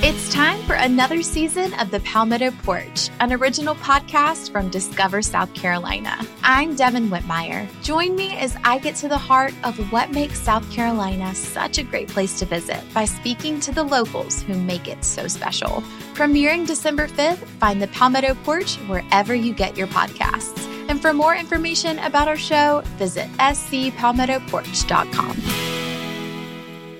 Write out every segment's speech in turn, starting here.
It's time for another season of The Palmetto Porch, an original podcast from Discover South Carolina. I'm Devin Whitmire. Join me as I get to the heart of what makes South Carolina such a great place to visit by speaking to the locals who make it so special. Premiering December 5th, find The Palmetto Porch wherever you get your podcasts. And for more information about our show, visit scpalmettoporch.com.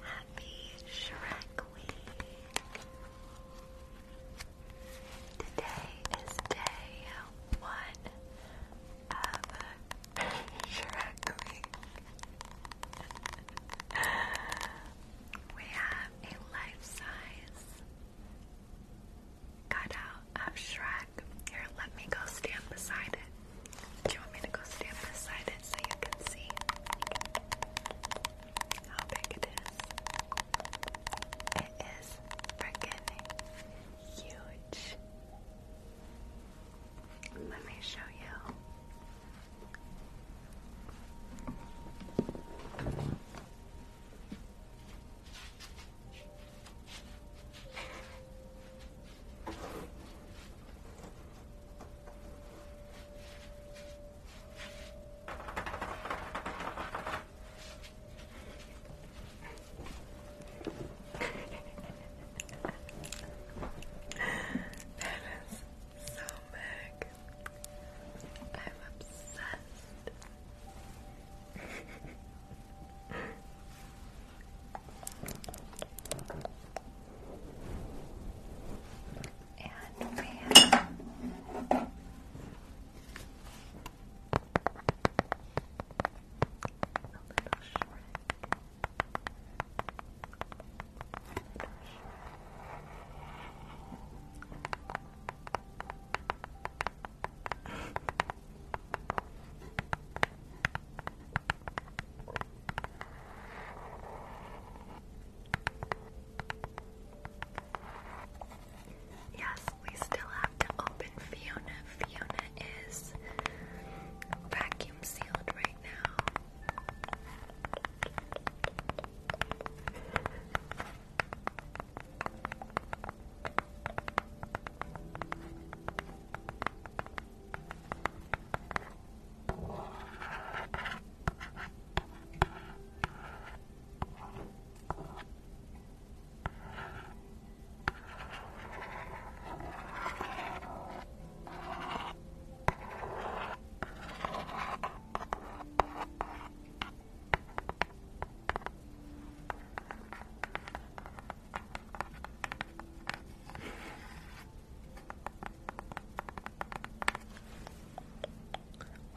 Happy Shrek Week. Today is day one of we have a life-size cutout of Shrek. Here, let me go stand beside it. Do you want me to go stand beside it so you can see how big it is? It is freaking huge. Let me show you that is so big. I'm obsessed. and we have a little Shrek. Yes, we still have to open Fiona. Fiona is back I'm sealed right now.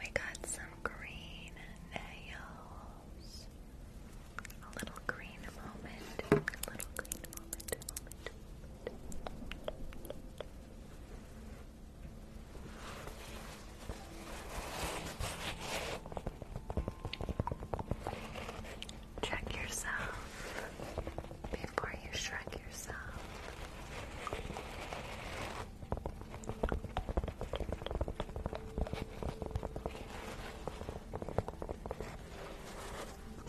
We got some green nails a little green moment, a little green moment, Check yourself before you shrug yourself.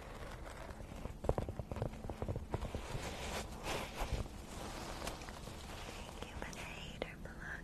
Thank you for hater blockers.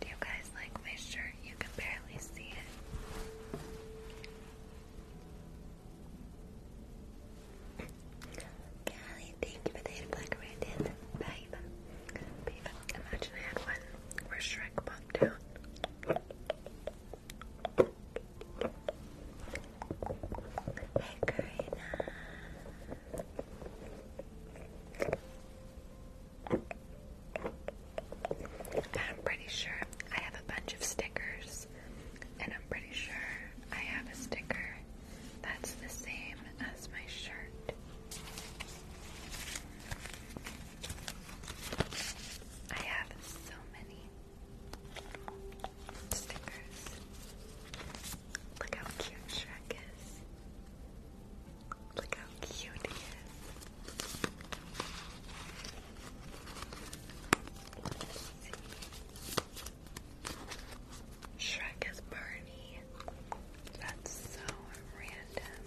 Do you guys like my shirt? You can barely see it. Callie, thank you for the black radiant. Babe. Babe. Imagine I had one where Shrek popped out. Hey, Karina. I'm pretty sure I have a bunch of stickers, and I'm pretty sure I have a sticker that's the same as my shirt. I have so many stickers. Look how cute Shrek is. Look how cute he is. Shrek is Barney. That's so random.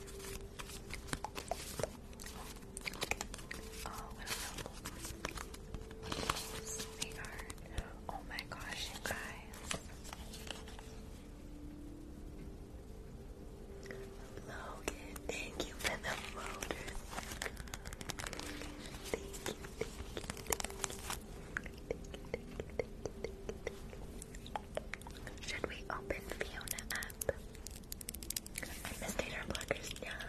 Oh, oh my gosh, you guys. Logan, thank you for the motor. Should we open Fiona up? I missed her blockers now.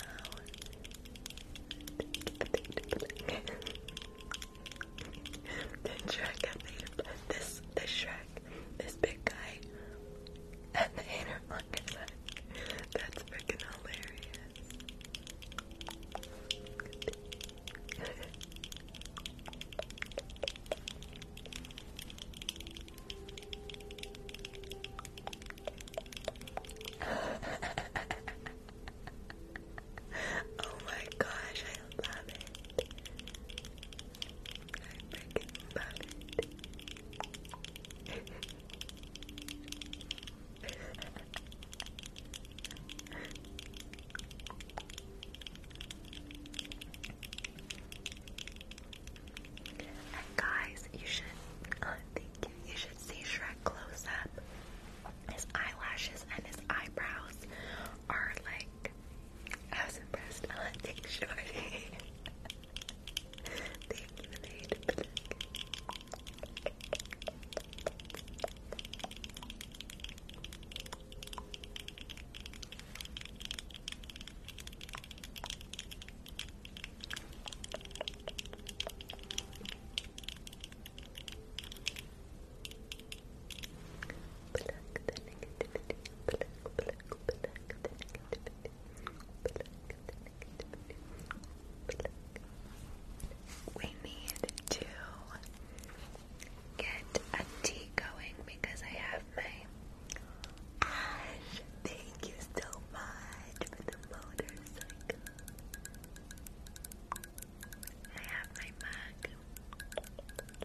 the Shrek, I made this, the Shrek this big guy, and the hater on That's freaking hilarious. oh my gosh, I love it guys, you should uh, thank you. You should see Shrek close up. His eyelashes and his eyebrows are like like, I was impressed. Oh, thanks, Shorty. Thank you, Lady Black. Pluck the negativity, pluck, pluck, pluck the we need to get a tea going because I have my Thank you so much for the motorcycle. I have my mug.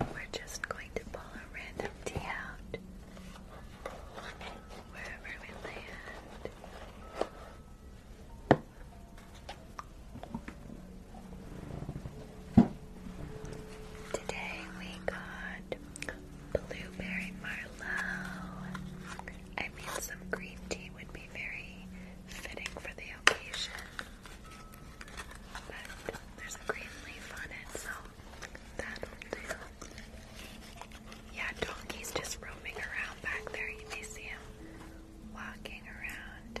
We're just going to pull a random tea out wherever we land. Today we got blueberry marlowe. I mean, some green tea would be very fitting for the occasion, there's a green leaf on it, so yeah, donkey's just roaming around back there. You may see him walking around.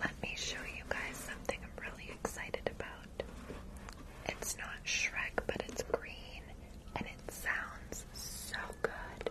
Let me show you guys something I'm really excited about. It's not Shrek, but it's green and it sounds so good.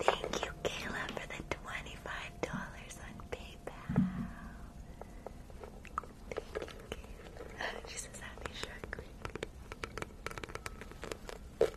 Thank you, Kayla, for the twenty-five dollars on PayPal. She says happy shark week. Thank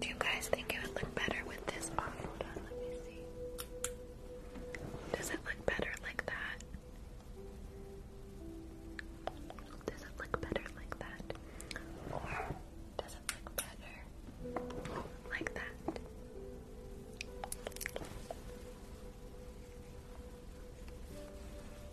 Do you guys think it would look better with this on? let me see. Does it look better like that? Does it look better like that? does it look better like that?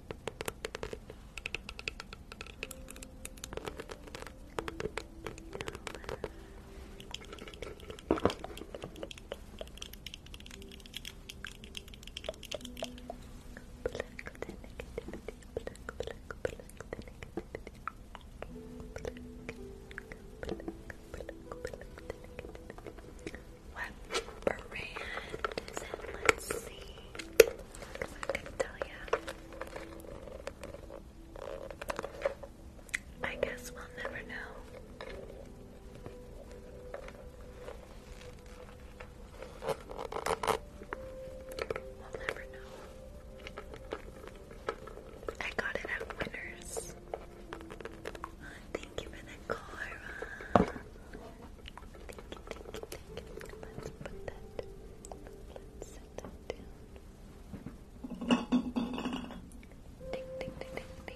What brand Let's see. I can tell ya. I guess we'll never know. We'll never know. I got it at Winners. thank you for Cora. Uh. Thank you, thank you, thank you. Let's put that Let's set that down. Ding, ding, ding, ding, ding.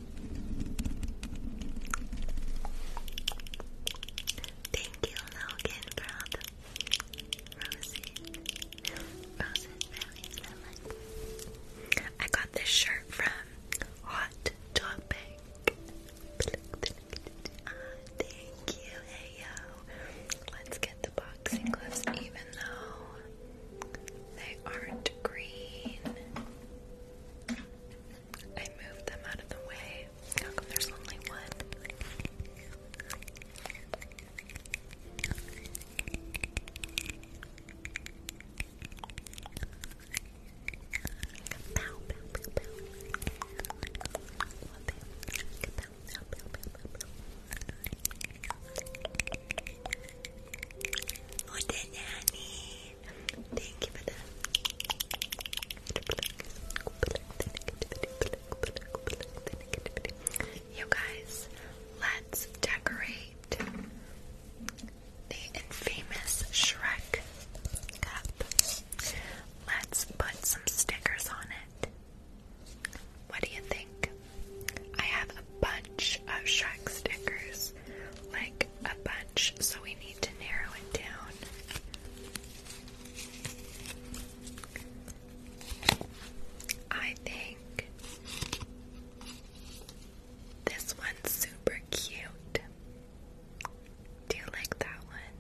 Thank you, Logan, for all the roses. I got this shirt from Hot Topic. thank you, hey Let's get the boxing gloves, even though they aren't green. I moved them out of the way. How come there's only one? What did that Thank you for that. guys, let's decorate the infamous Shrek cup. Let's put some stickers on it. What do you think? I have a bunch of Shrek stickers. Like a bunch, so we need to narrow it down. I think this one's super cute. Do you like that one?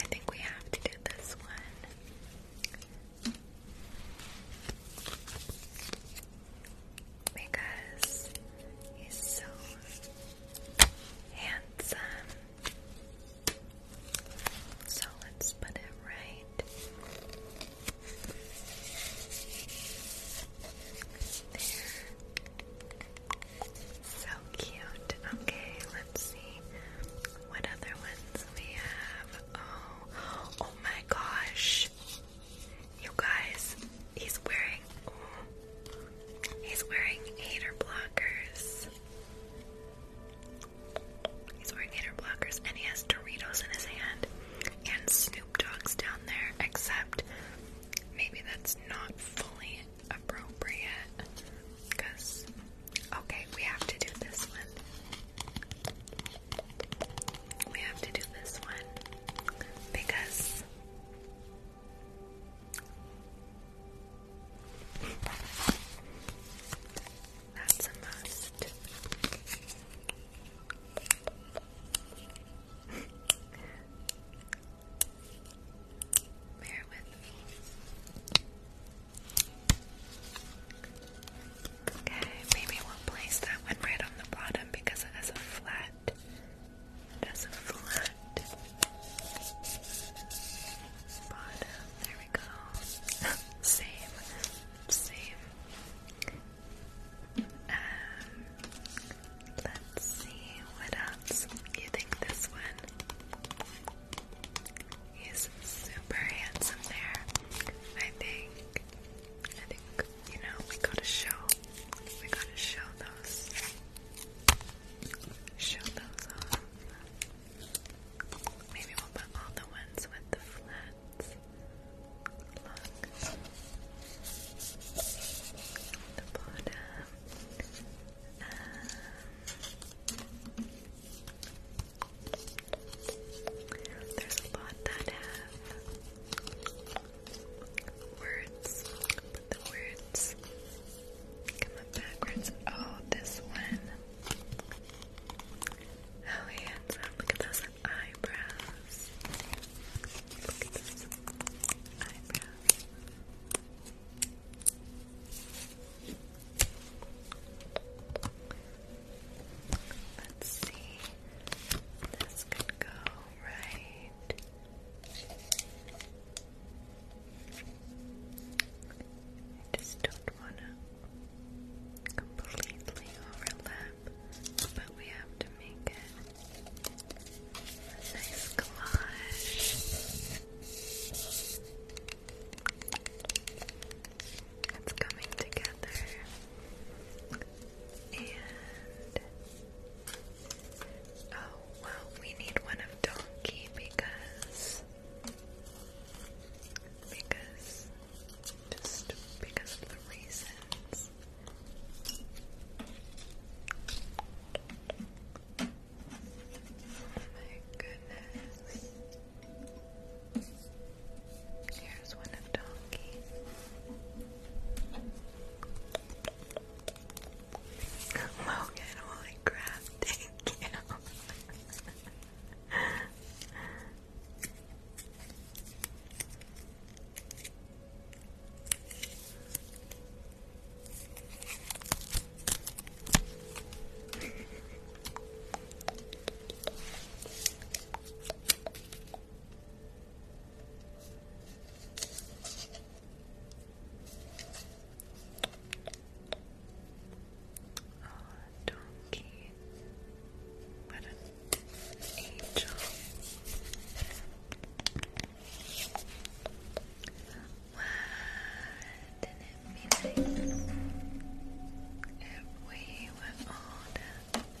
I think we have to do this one. Because he's so handsome. So let's put it right there. So cute. Okay, let's see what other ones we have. Oh, oh my gosh. You guys, he's wearing he's wearing hater blockers. He's wearing hater blockers and he has Doritos in his hand and Snoop Dogs down there, except maybe that's not fully appropriate. Cause okay, we have to do this one. We have to do this one because that's a must. Bear with me. Okay, maybe we'll place that one right on the bottom because it has a flat flat. That's a flat bottom. There we go. same, same. Um, let's see what else. You think this one? He's super handsome there. I think. I think you know we gotta show. We gotta show those Show those off. Maybe we'll put all the ones with the flats. Look. The bottom. Um, there's a lot that have words, but the words come backwards. Oh, this one. How oh, handsome. Look at those eyebrows. Look at those eyebrows. Let's see. This could go right I just don't want to completely overlap, but we have to make it a nice collage. It's coming together and Oh, well, we need one of donkey because. Because. Just because of the reasons. Oh my goodness. Here's one of donkey. Logan, holy crap, thank you. Oh, donkey. What an angel. What did it if we were older?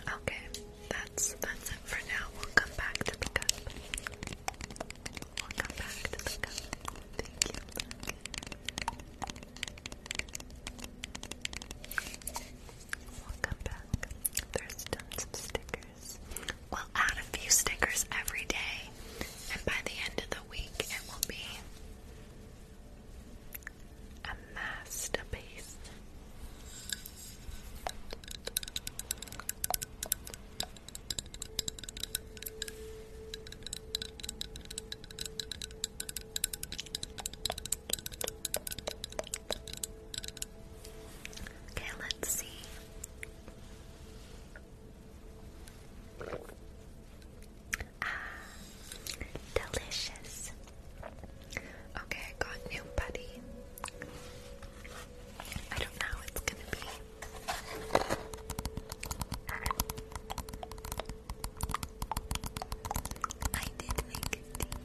Okay, that's that's it for now. We'll come back to the We'll come back to the Thank you. We'll come back. There's tons of stickers will add a few stickers every day, and by the end of the week, it will be a masterpiece. Okay, let's see. Ah, delicious. Okay, got new buddy. I don't know it's gonna be. I did make a tea.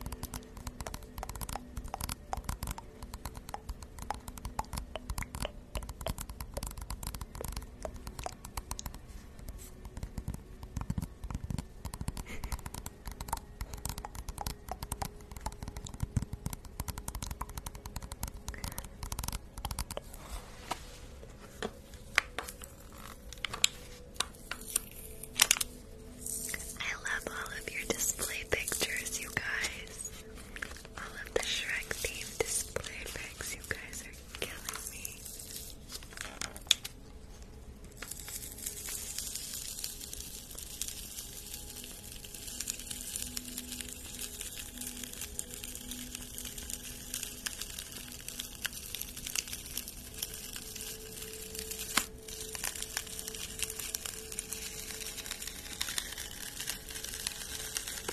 I love all of your display pictures, you guys. All of the Shrek themed display bags, you guys are killing me.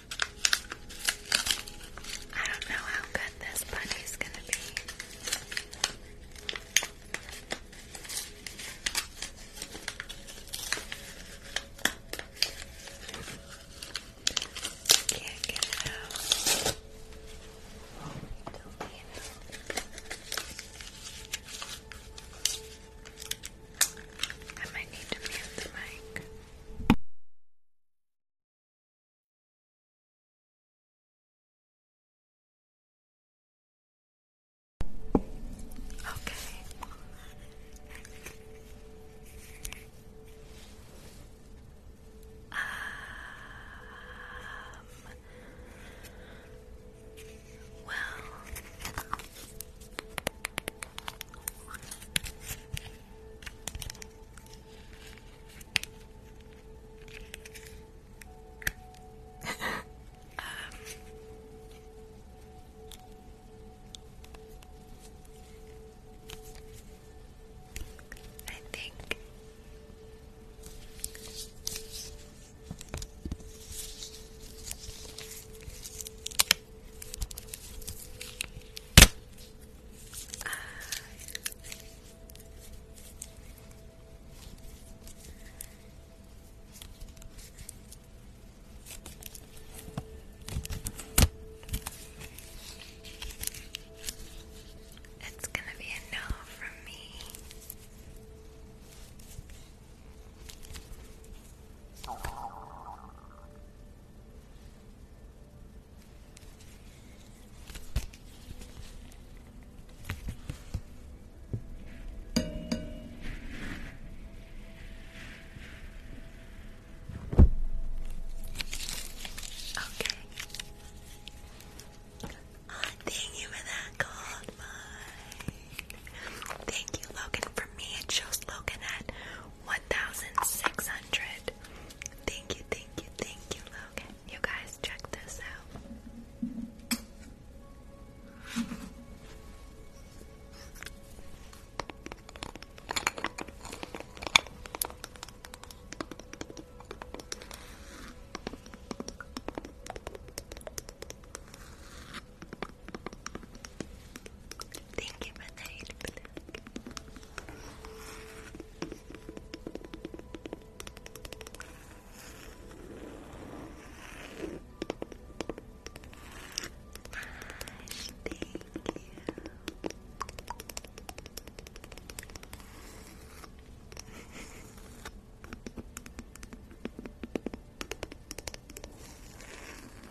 I don't know how good this bunny's gonna be. Can't get it out. Don't leave it. I might need to mute the mic. Okay. Um, well, um, I think it's going to be a no from me. Okay. Oh, thank you for that cold mine. Thank you, Logan. For me, it shows Logan at 1,600. Thank you, thank you, thank you, Logan. You guys, check this out. Thank you for the eight thank you.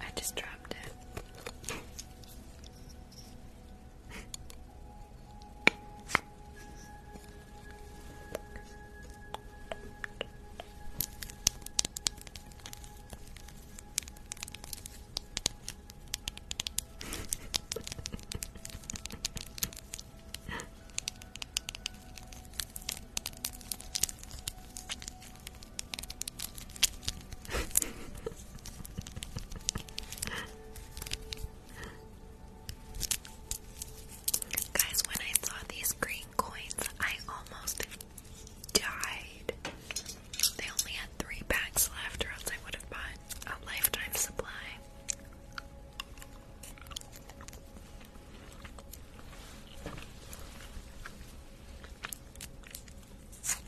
I just dropped it. Guys, when I saw these green coins, I almost died. They only had three packs left, or else I would have bought a lifetime supply.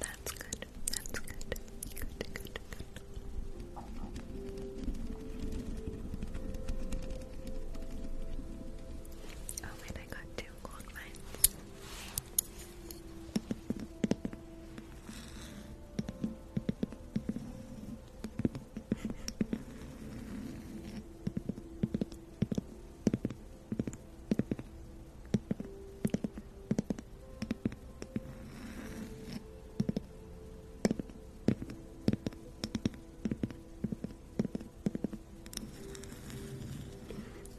That's good. That's good. Good, good, good. Oh wait, I got two gold mines.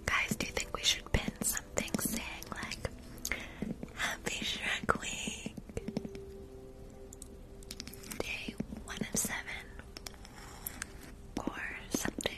Guys, do you think we should pin something saying like Happy Shrek Week? Day one of seven or something.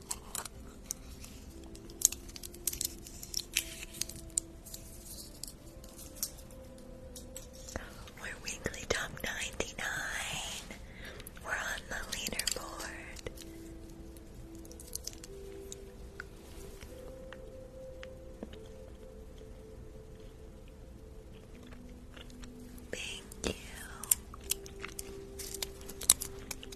We're weekly top 99. We're on the leaderboard. Thank you.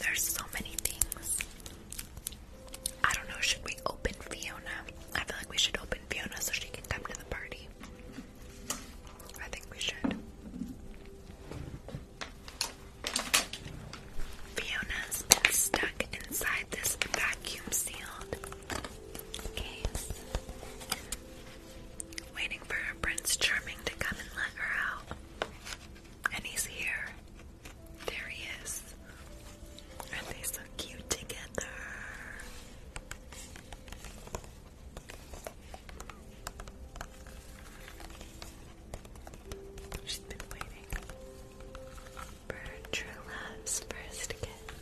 There's so many things. I don't know, should we open Fiona? I feel like we should open Fiona so she can come to the party. I think we should. fiona stuck inside this vacuum sealed case waiting for her Prince Charming to come and let her out. And he's here. There he is. And they're so cute together? She's been waiting for true love's first kiss.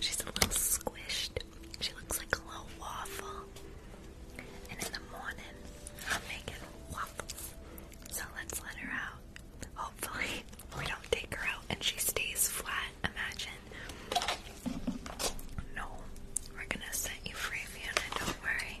She's a little squished she looks like a little waffle. And in the morning, I'm making waffles. So let's let her out. Hopefully, we don't take her out and she stays flat. Imagine. No, we're gonna set you free, Fiona, don't worry.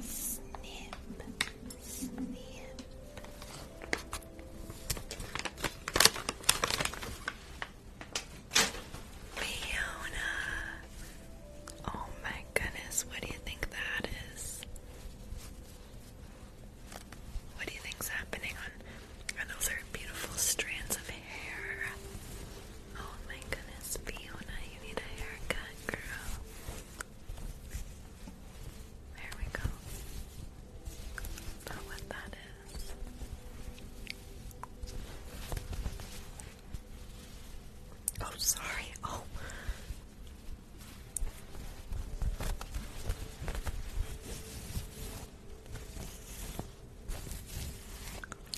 Snip, snip. Fiona. Oh my goodness, what do you think that is? What do you think's happening on and those are beautiful strands of hair. Oh my goodness, Fiona, you need a haircut, girl. There we go. Not what that is. Oh, sorry. Oh.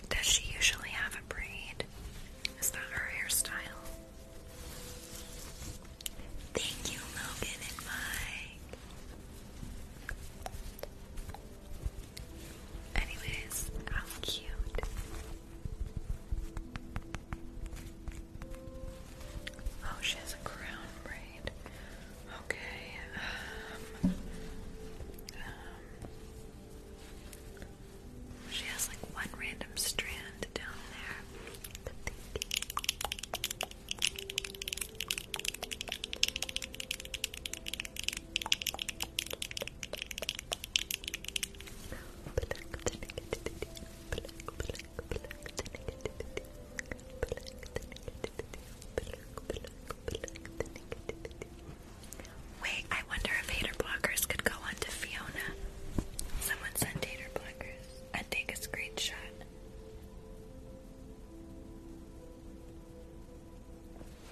Does she usually have a braid? Is that her hairstyle? Thank you, Logan and Mike. Anyways, how cute. Oh, she has a crown braid. Okay. Um, she has like one random strand down there. Wait, I wonder if hater blockers could go on to Fiona. Someone send hater blockers and take a screenshot.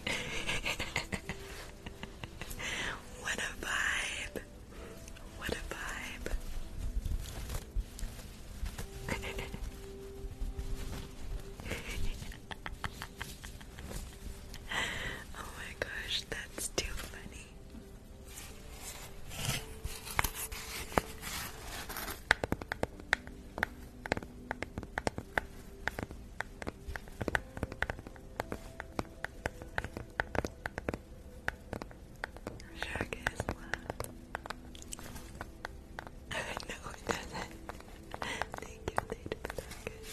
what a vibe! What a vibe! oh my gosh, that's too funny. Shark is no, it doesn't. Thank you, later blockers.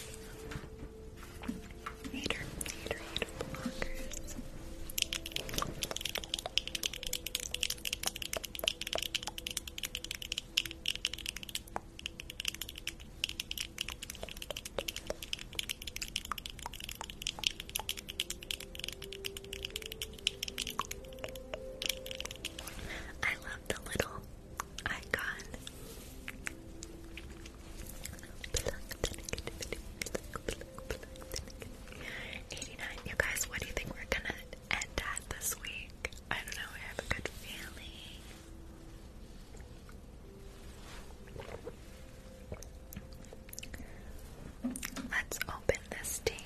Hater, hater, hater blockers. I the little icon. Eighty-nine. You guys, what do you think we're gonna end at this week? I don't know. I have a good feeling. Let's open this tape.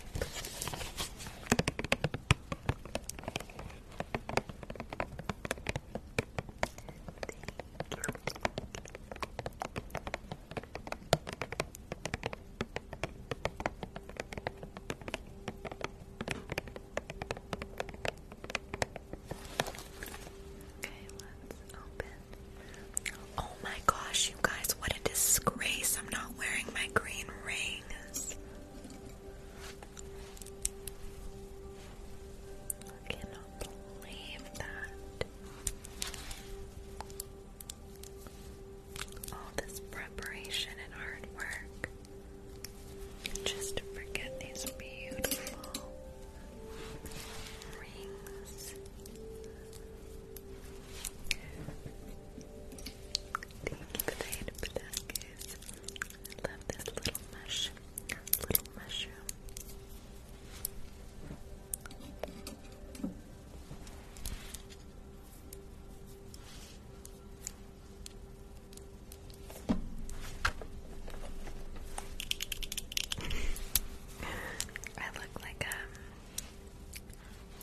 Oh my gosh, you guys, what a disgrace. I'm not wearing my green rings. I cannot believe that. All this preparation and hard work just to forget these beautiful rings. Thank you, Thade I love this little mush, little mushroom. I look like um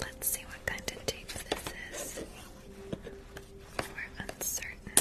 Let's see what kind of tape this is. We're uncertain.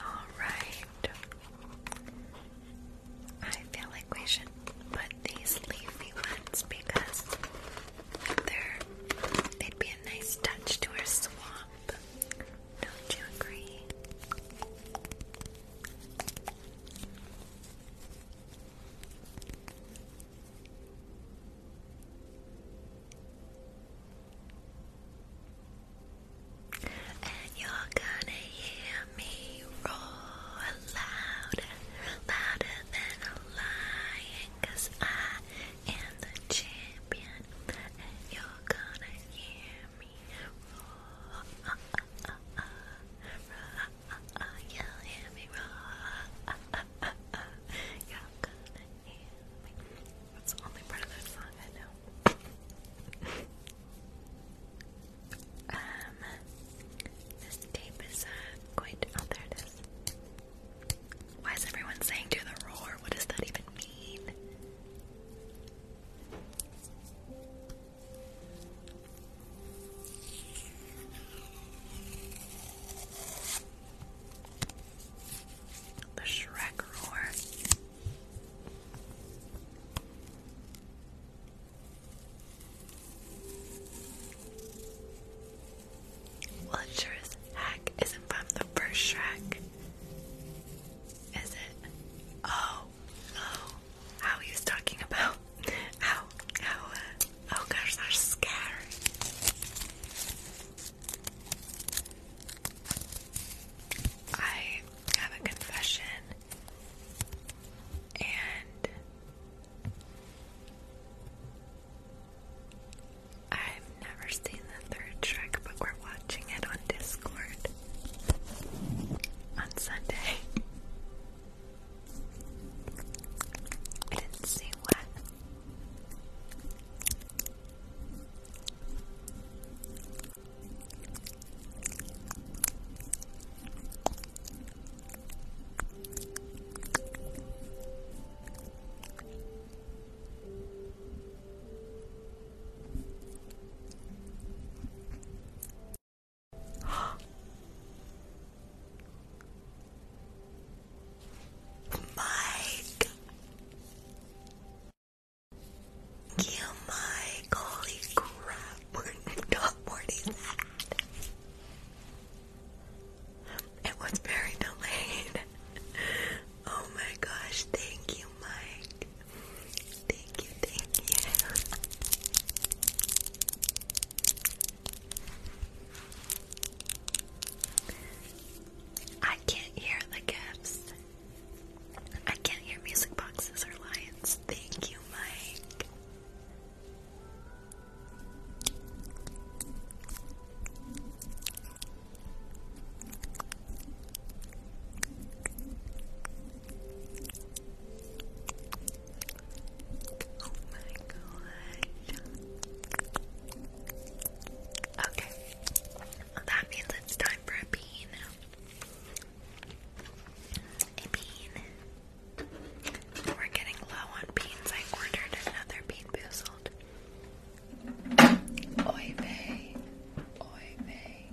All right. I feel like we should but these leafy ones because they're would be a nice touch to our swamp. Don't you agree? And you're gonna hear me roar louder, louder than a lion, I am the champion, you're gonna hear me roar. Uh, roar. you're gonna hear me. That's the only part of that song I know. Um, this tape is uh, quite. out there it is. Why is everyone saying do the roar? What does that even mean? The Shrek roar. Well, it isn't from the first Shrek. Is it? Oh, oh. How he was talking about how, how, uh, oh they're scary. I have a confession, and I've never seen the third Shrek, but we're watching it on Discord on Sunday. I didn't see what. Mike, you Mike, holy crap! we not warning that. It was very delayed. Oh my gosh, thank you, Mike. Thank you, thank you. I can't hear the gifts. I can't hear music boxes or lions. Thank you, Mike. Oh my god. Okay. that means it's time for a bean. A bean. We're getting low on beans. I ordered another bean boozled. Oy vey. Oy vey.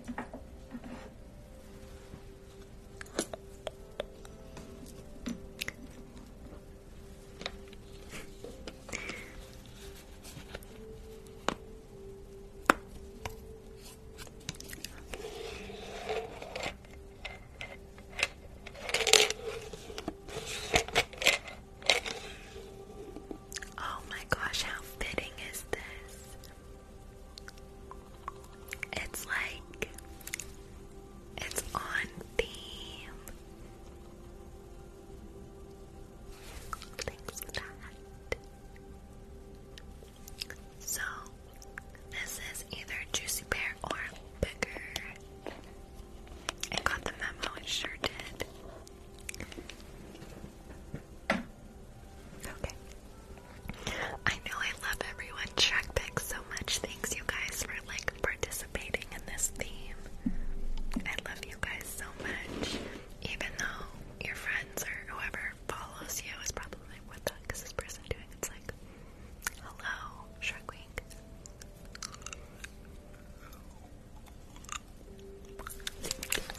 Oh my gosh, how fitting is this? It's like it's on theme. So, this is either Juicy Pear or bigger. I got the memo, it sure did. Okay. I know I love everyone track so much. Thanks you guys for like participating in this theme. I love you guys so much. Even though your friends or whoever follows you is probably like, what the this person doing? It's like, hello, Shark Queen.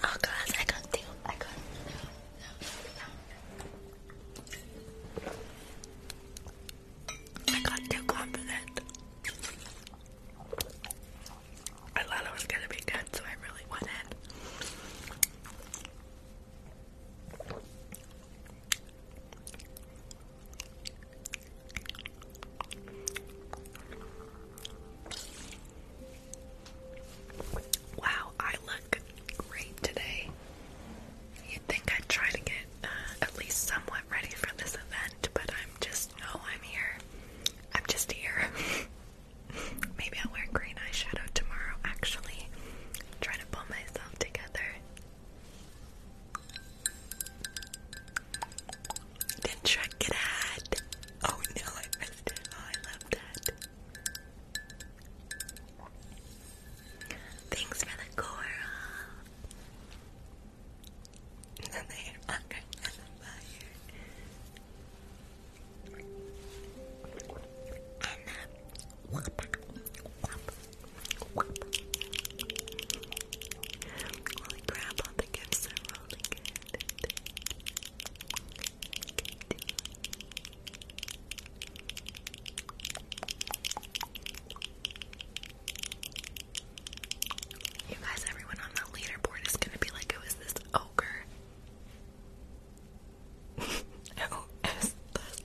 Oh gosh, I can't I can I got too confident. I thought it was gonna be good, so I really wanted. Wow, I look great today. You'd think I'd try to get uh, at least somewhat ready for this event, but I'm just, no, I'm here. I'm just here. Maybe I'll wear green eyeshadow tomorrow, actually. trying to pull myself together. Did Shrek get Oh no, I missed it. Oh, I love that. Thanks for the coral. then they are under fire. And the uh, wop, wop, Really You guys, everyone on the leaderboard is gonna be like, who is this ogre?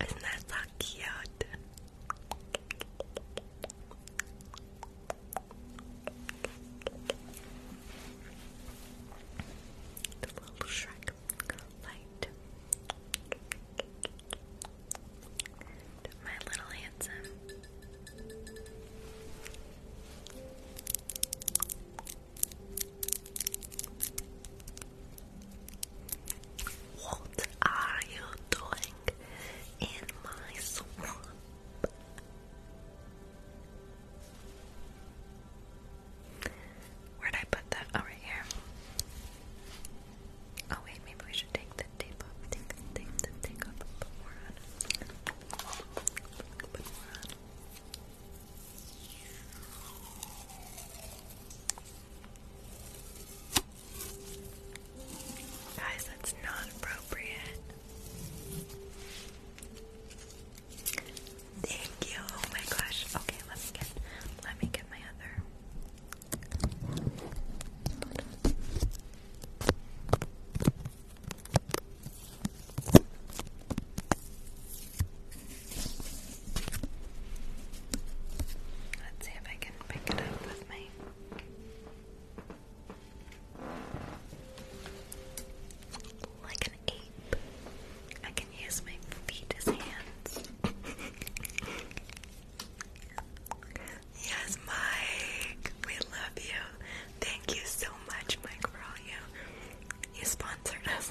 Isn't that so cute? little Shrek light. My little handsome. What are you doing in my swamp? Where'd I put that? Oh, here. Oh, wait, maybe we should take the tape off. Take the tape, off, Guys, that's not appropriate. Thank you. Oh my gosh. Okay, let me get let me get my other Let's see if I can pick it up with me. Like an ape, I can use my feet as hands. yes, Mike, we love you. Thank you so much, Mike, for all you you sponsored us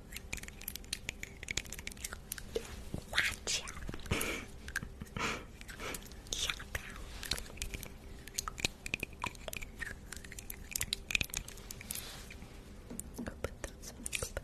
Watch out. Shout out. Go put those on. Go put those down.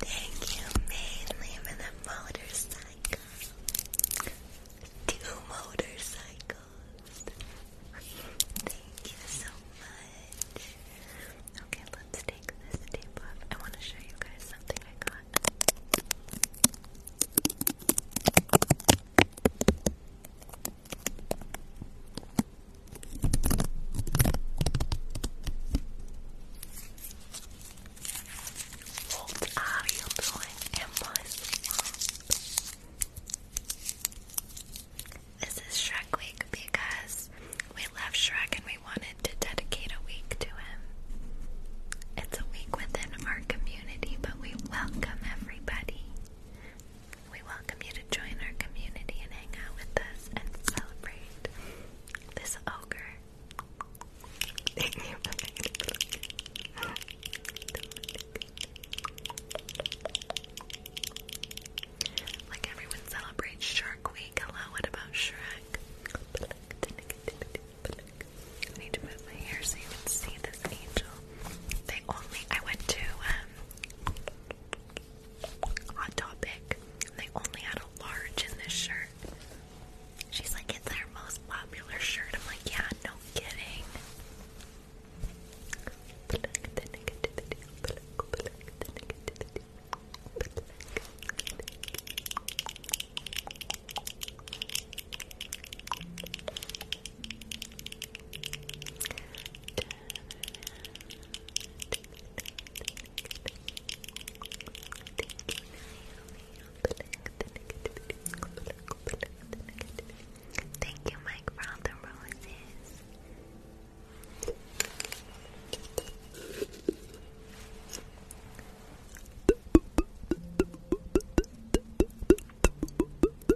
Thank you mainly for the motorcycle. Two motorcycles. Thank you so much. Okay, let's take this tape off. I want to show you guys something I got. What are you doing This is Shrek Week because we love Shrek and we wanted to dedicate a week to him. It's a week within our community, but we welcome everybody. We welcome you to join our community and hang out with us and celebrate this ogre. Like everyone celebrates Shark Week. Hello, what about Shrek? I need to move my hair so you can see this angel. They only I went to um, Hot Topic. They only had a large in this shirt. She's like, it's their most popular shirt. I'm like, yeah, no kidding. Thank you, Mike, for all the roses.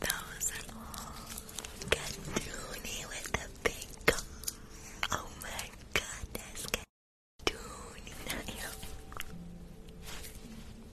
Those all Katoonie with the big Oh my goodness, Katoonie.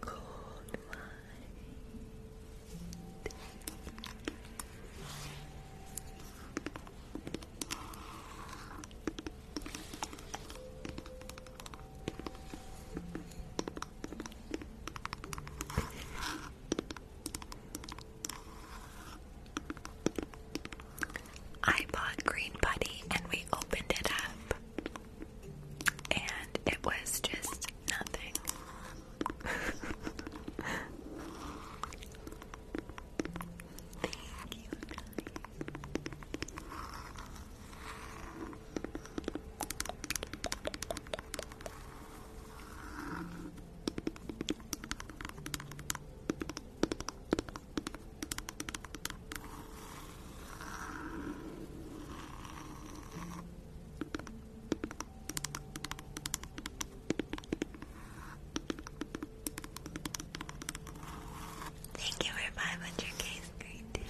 Cold mind. I bought Green Buddy and we opened it up, and it was just nothing. Thank you. Thank you for 500 case,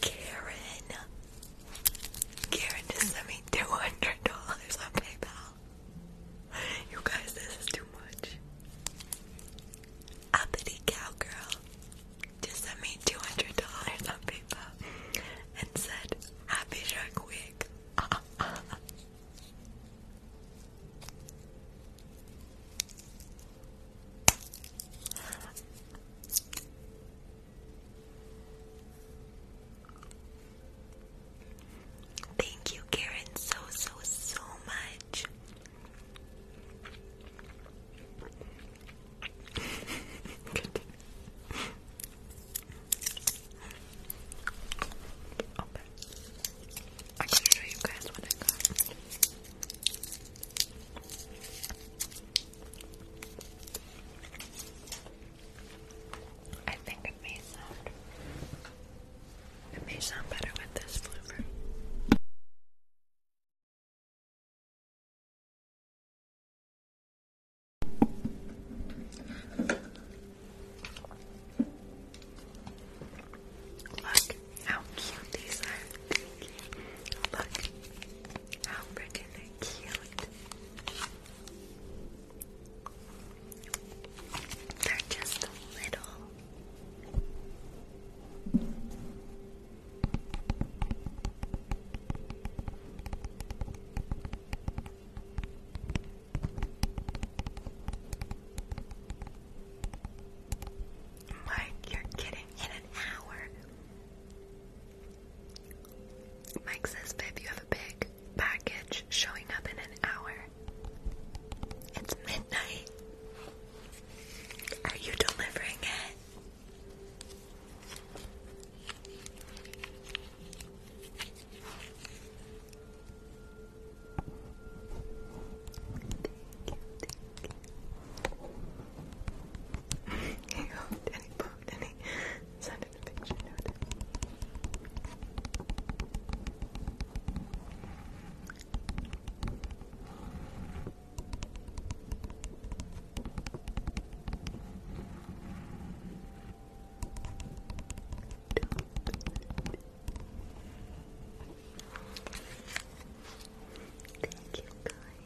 Karen. Karen just sent me $200 on PayPal. You guys, this is too much. Uppity Cowgirl just sent me $200 on PayPal and said, Happy Shark Week. Thank you, Karen, so, so, so much. okay. I can show you guys what I I think it may sound it may sound better with this flavor. Look how cute these are. Look. How freaking cute. They're just little. Mark, you're kidding. In an hour. Mike says, Viv, you have a big package showing up in an hour. It's midnight. Are you delivering it? dropped picture notice. Thank you guys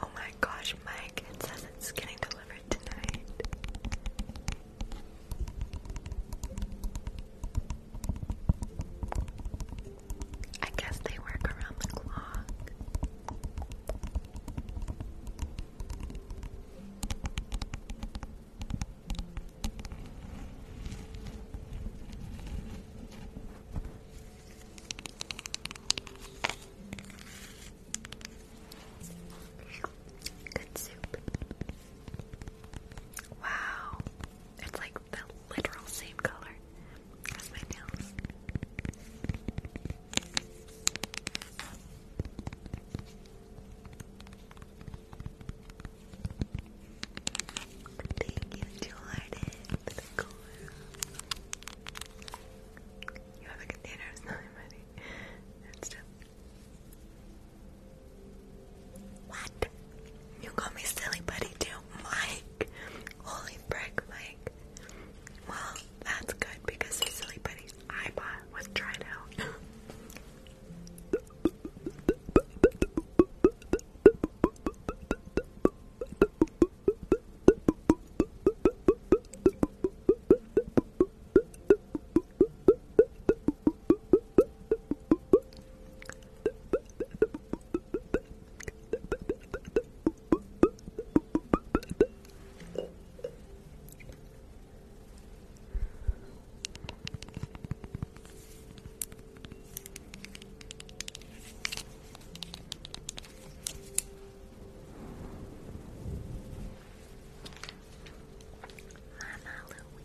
Oh my gosh, Mike, it says it's getting delivered tonight. I guess they work around the clock. Good soup. Wow. It's like the literal same color as my nails. Thank you, Jordan, You have a container of smelly What? You call me silly buddy too? Mike. Holy frick, Mike. Well, that's good because Silly Putty's iPod was dried out. Mama Louise.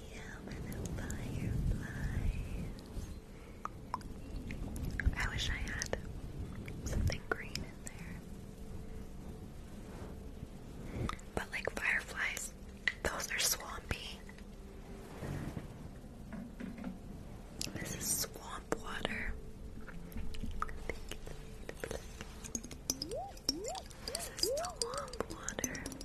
fireflies. I wish I had something green in there. But like fireflies, those are swampy. This is swamp water. This is swamp water.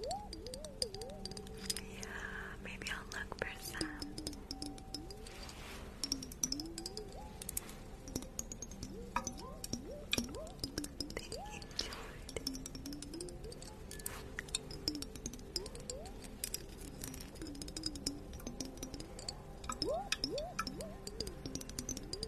Yeah, maybe I'll look for some. Thank you,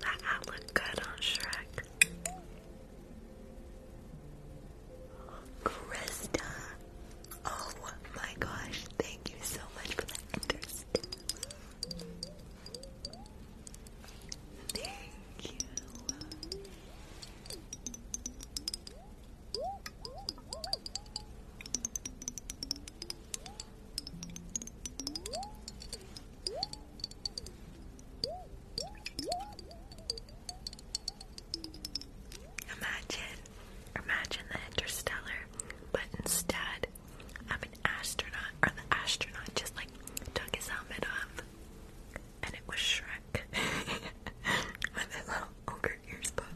That hat good on Shrek. Krista! Oh my gosh, thank you so much for the interest. Thank you. Imagine, imagine the interstellar, but instead, I'm an astronaut, or the astronaut just like took his helmet off, and it was Shrek with his little her ears popping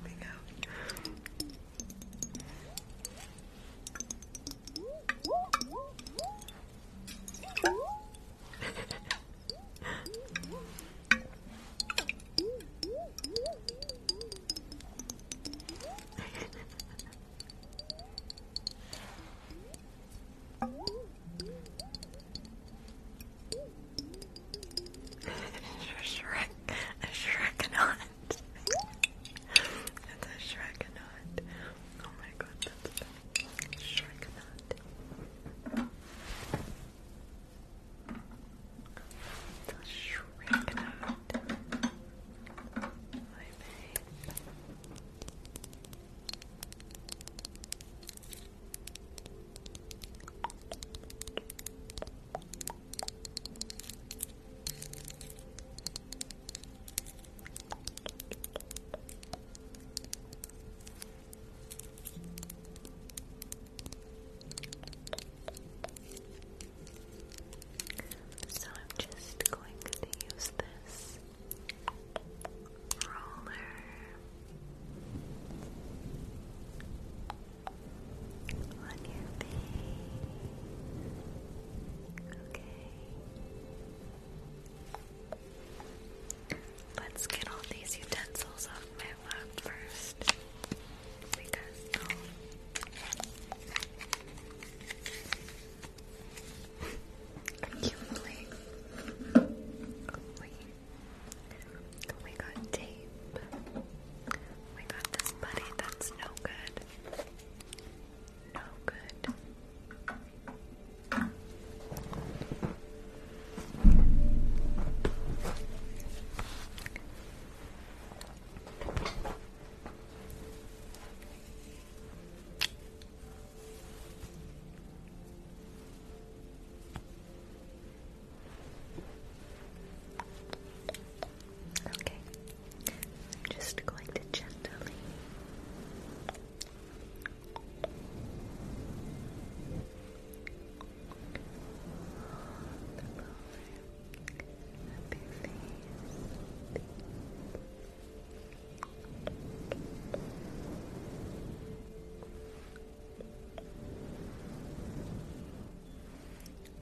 Shrek, a Shrek and that's a Shrekinaut. Oh my god, that's a Shrekinaut. It's a Shrekinaut. My babe. Shrekinaut. So I'm just going to use this roller on your face. Okay. Let's get all these utensils off my lap first. Because, oh. Are you tape. We got this buddy that's no good. No good. Okay, I'm just going to gently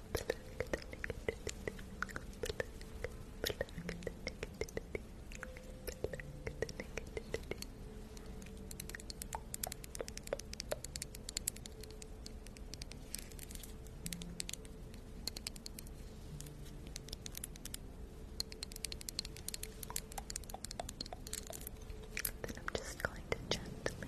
Then I'm just going to gently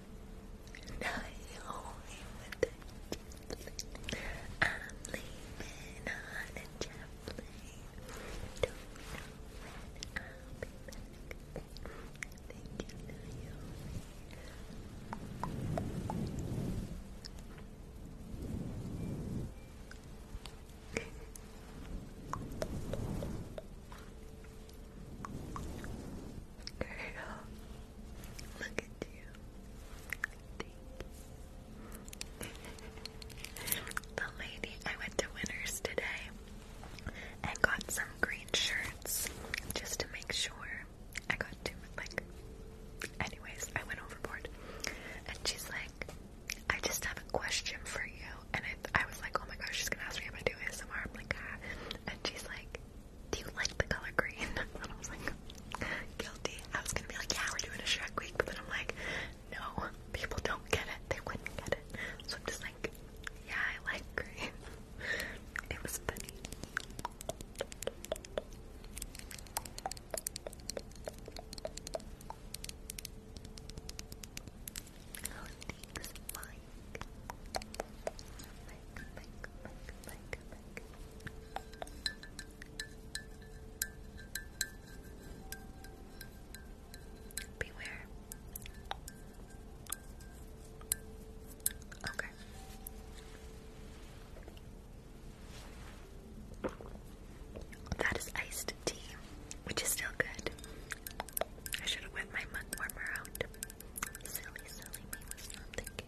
I'm leaving on a jet plane. Don't know when I'll be back. Thank you, Naomi. Girl, look at you. Thank you. the lady, I went to Winners today and got some green shirts just to make sure. I got two, like, anyways, I went overboard. And she's like, I just have a question for you and I, I was like, oh my gosh, she's gonna ask me if I do ASMR. I'm like, ah. and she's like, do you like the color green? And I was like, guilty. I was gonna be like, yeah, we're doing a Shrek week, but then I'm like, no, people don't get it. They wouldn't get it. So I'm just like, yeah, I like green. It was funny. Oh, thanks, Maya. Beware. Okay. That is iced tea, which is still good. I should have wet my mug warmer out. Silly, silly me was not thinking.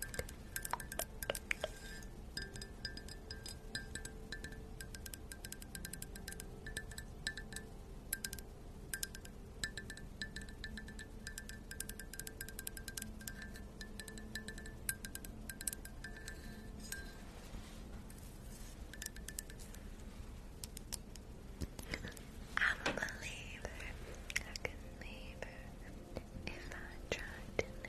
I'm a believer, I can if I tried to it.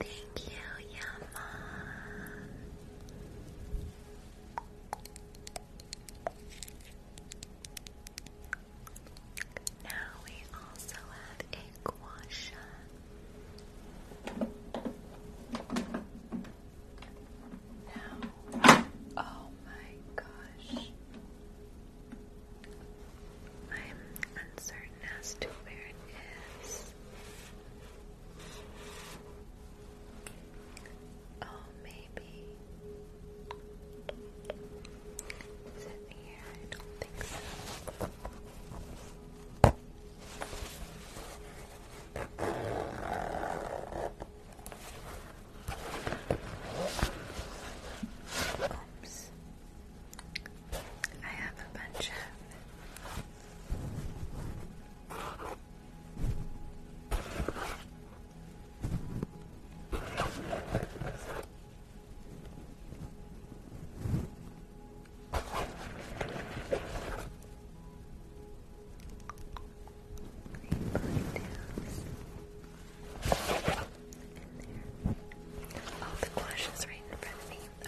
Thank you, Yama. Now we also have a guasha. Now, oh my gosh. I'm uncertain as to where it is. Oh, maybe. Is it here? I don't think so. Oops. I have a bunch of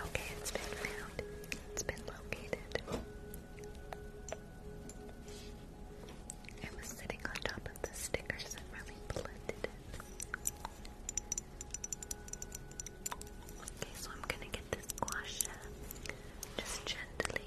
Okay, it's been found. It's been located. It was sitting on top of the stickers and really blended Okay, so I'm gonna get this squash just gently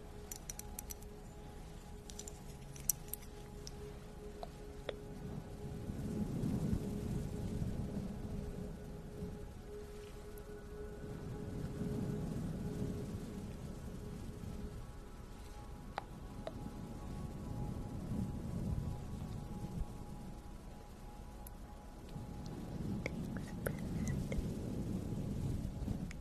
Thanks for that.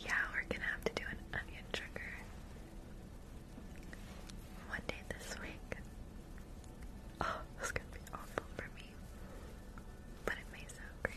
Yeah, we're gonna have to do an onion trigger one day this week. Oh, this is gonna be awful for me, but it may sound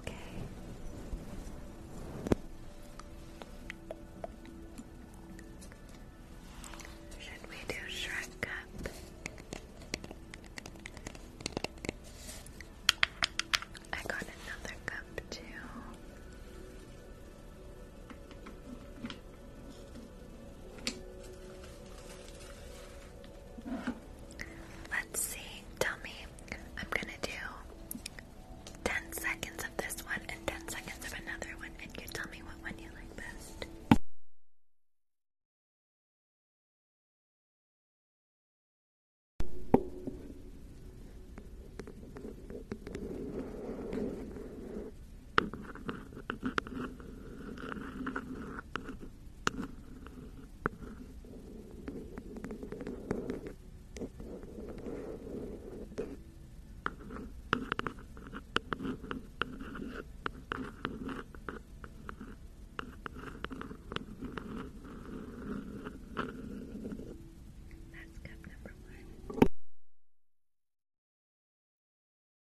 Okay. Should we do Shrek Up? I got another cup too. Let's see. Tell me. I'm gonna do 10 seconds of this one and 10 seconds of another one, and you tell me what one you like best. That's cup number one.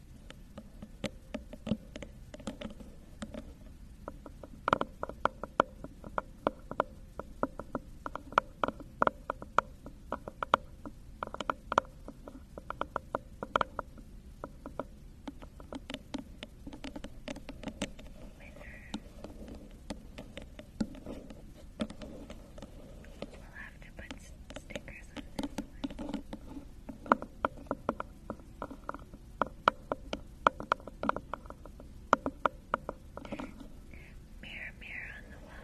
We'll have to put stickers Mirror, mirror on the wall.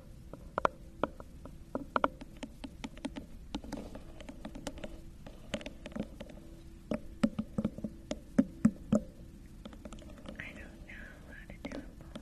I don't know how to do a bowl.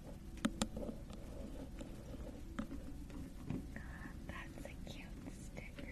That's a cute sticker.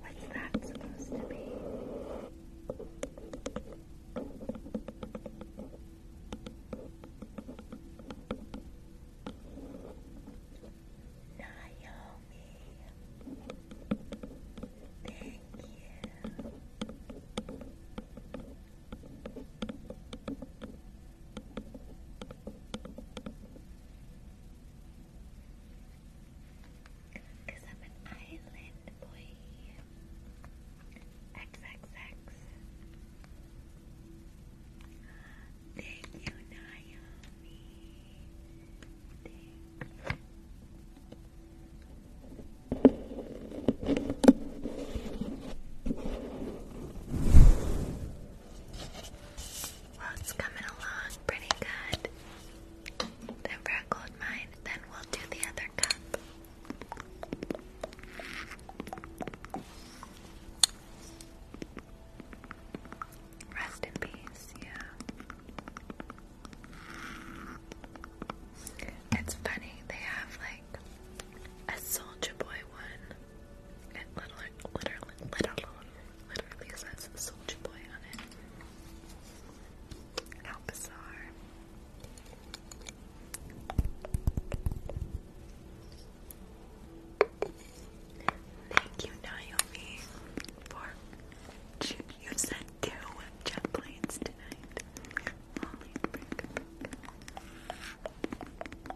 What's that supposed to be? Naomi, thank you. Cause I'm an island boy. XXX. Thank you, Naomi. Thank you it's coming along pretty good. Time for mine, then we'll do the other cup. Rest in peace, yeah. It's funny, they have like a Soldier Boy one it literally, literally, literally, literally says Soldier Boy on it. How bizarre. Thank you, Naomi, for you sent two jet planes tonight. Holy frick.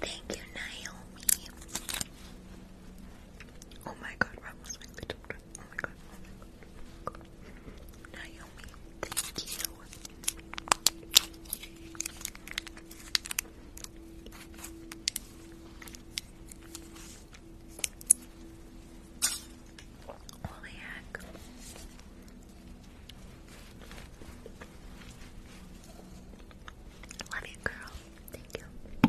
Thank you, Naomi. Oh my god, Rob was with the oh my god. Oh oh Naomi, thank you. Holy heck. Love you, girl. Thank you.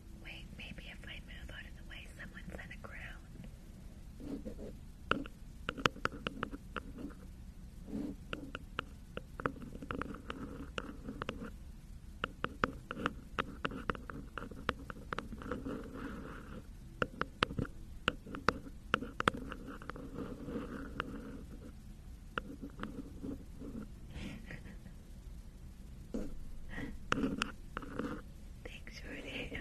Wait, maybe if I move out of the way, someone's on the ground. Thanks, Jordan.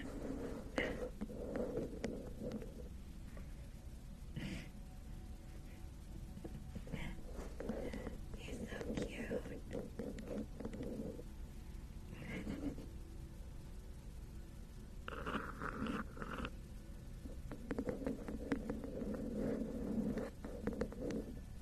He's so cute.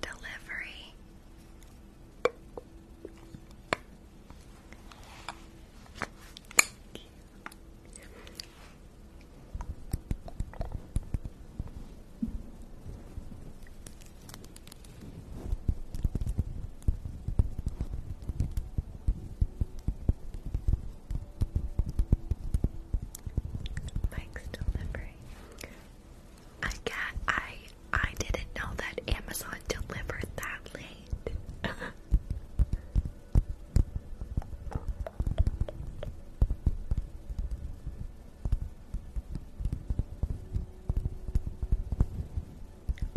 Delivery. Mike's delivery. I got I I didn't know that Amazon delivered that late.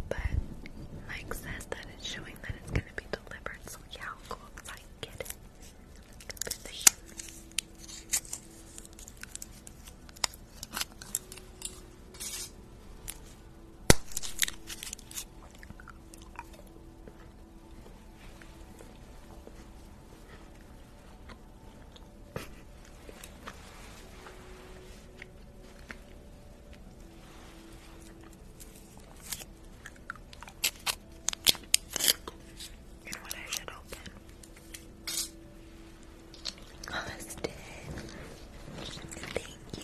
But Mike says that it's showing that it's gonna be delivered, so yeah, I'll go you know what I should open? Austin, thank you.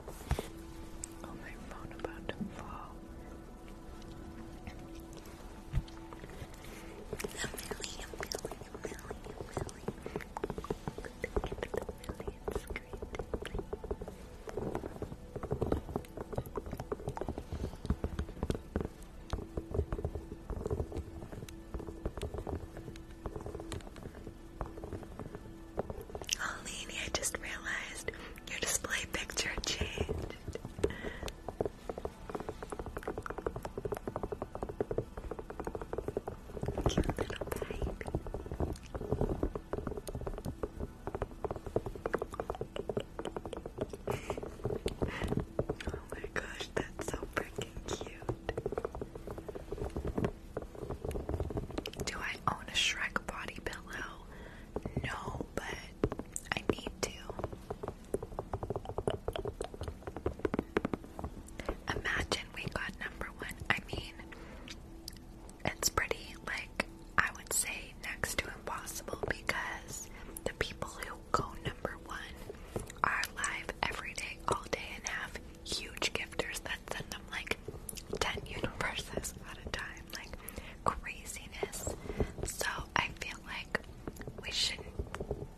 Oh, my phone about to fall. A million, million, million, million. Get to the million screen, Oh, Lainey, I just realized your display picture changed. Cute little baby. oh my gosh, that's so freaking cute. Do I own a Shrek body pillow? No, but I need to. Imagine we got number one. I mean, it's pretty, like, I would say next to impossible because the people who go number one are live every day, all day, and have huge gifters that send them like 10 universes at a time. Like, craziness. So I feel like we shouldn't,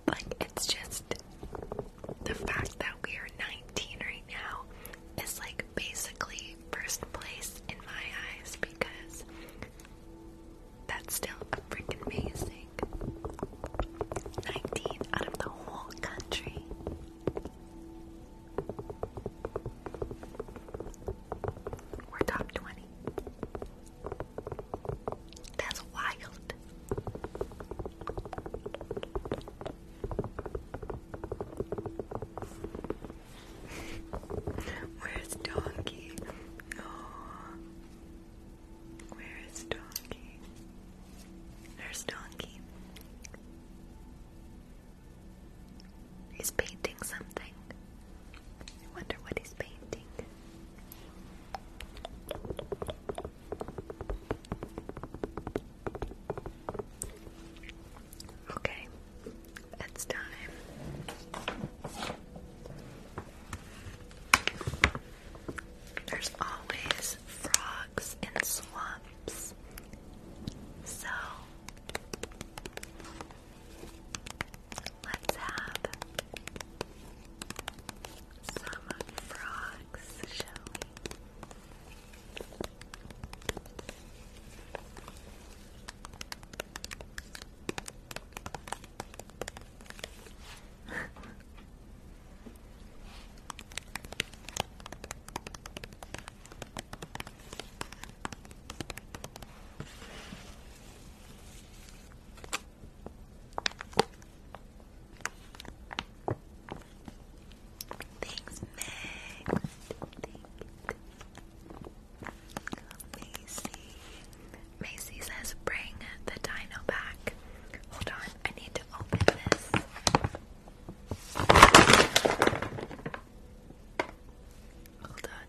like, it's just the fact that we are 19 right now is like basically first place in my eyes because that's still a freaking amazing 19 out of the whole country. We're top 20. That's wild. Where's Donkey? No. Where is Donkey? There's Donkey. He's painting something. I wonder what he's painting. Okay, it's time. There's always frogs in swamps. So Let's have some frogs, shall we? Thanks, Meg. Macy. says, bring the dino back. Hold on, I need to open this. Hold on.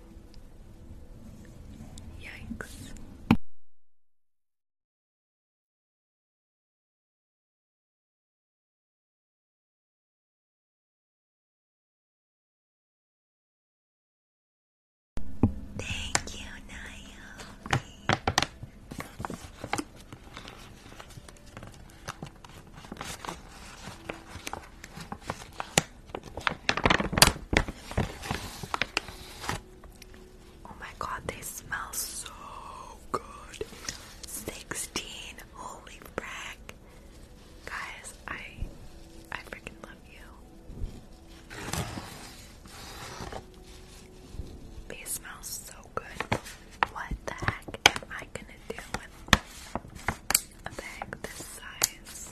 Yikes. Thank you, Naomi. Oh my god, they smell so good. 16. Holy frack. Guys, I I freaking love you. They smell so good. What the heck am I gonna do with a bag this size?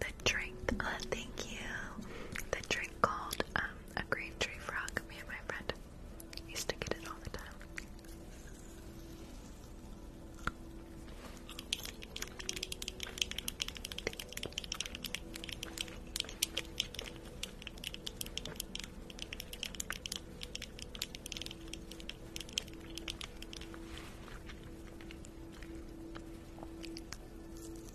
the drink. Uh, thank you. The drink called um, a green tree frog. Me and my friend used to get it all the time.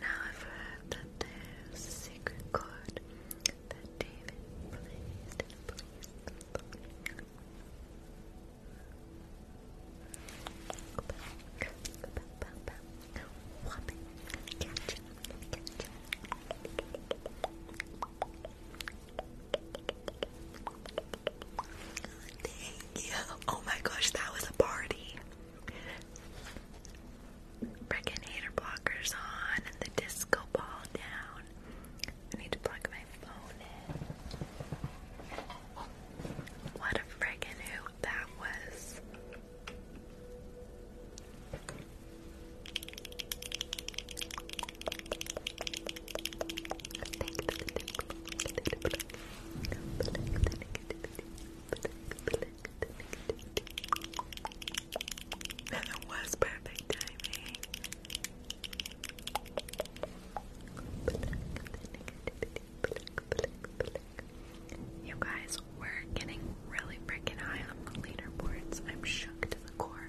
Now I've heard that there's a secret chord that David plays Oh my gosh, that was a party. Freaking hater blockers on and the disco ball down. I need to plug my phone in. What a friggin' hoot that was. And it was perfect timing. You guys, we're getting really freaking high on the leaderboards. I'm shook to the core.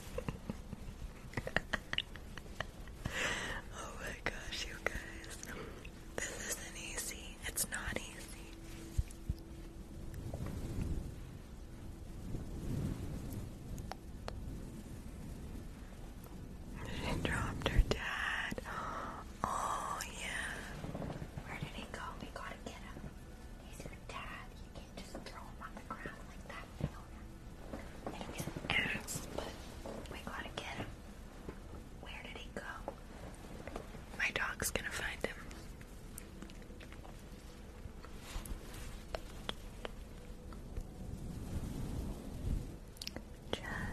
oh my gosh, you guys. This isn't easy. It's not easy. She dropped her dad. Oh, yeah. Where did he go? We gotta get him. He's your dad. You can't just throw him on the ground like that, Fiona. I an ass, we gotta get him. Where did he go? My dog's gonna find him.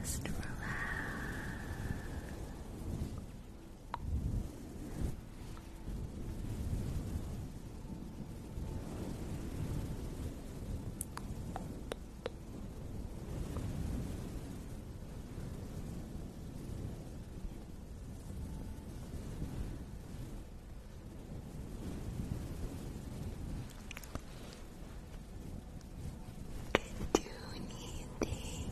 Just relax. Katoonie, thank you.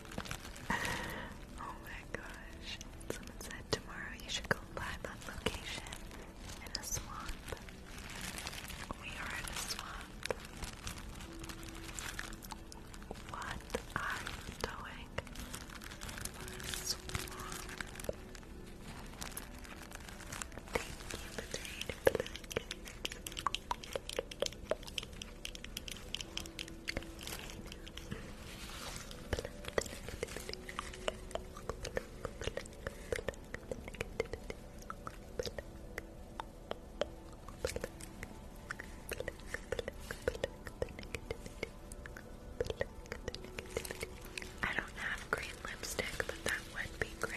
oh my gosh. Someone said tomorrow you should go live on location in a swamp. We are in a swamp. What are you doing? Swamp. Thank you for the I don't have green lipstick, but that would be great.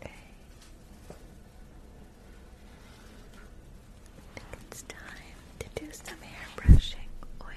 Okay. I think it's time to do some hair Oi.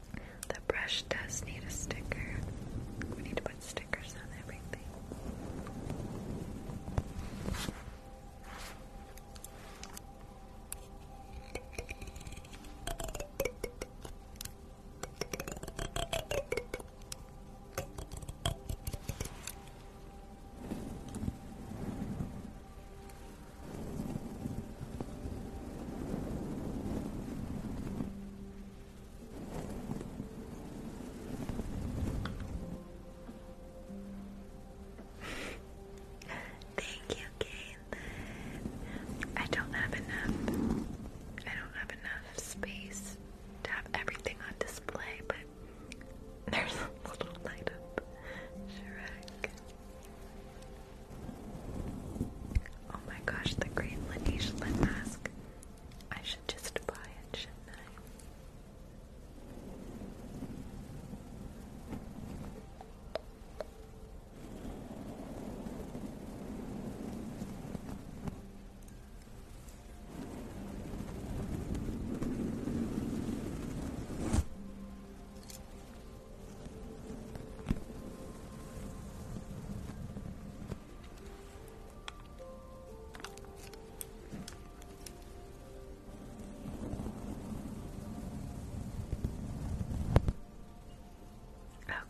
The brush does need a sticker. We need to put stickers on everything. Thank you, Caitlin. I don't have enough. I don't have enough space to have everything on display, but there's a little light up Shrek. Oh my gosh, the great Laneige lip mask. I should just buy it, shouldn't I?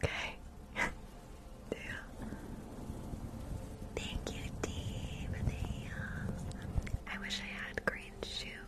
Okay. yeah. Thank you, Dee, for I wish I had green shoes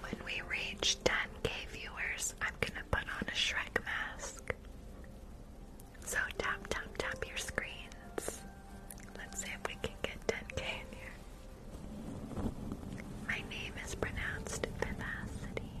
When we reach 10k viewers, I'm gonna put on a Shrek mask. So tap, tap, tap your screens. Let's see if we can get 10k here. My name is pronounced Vivacity.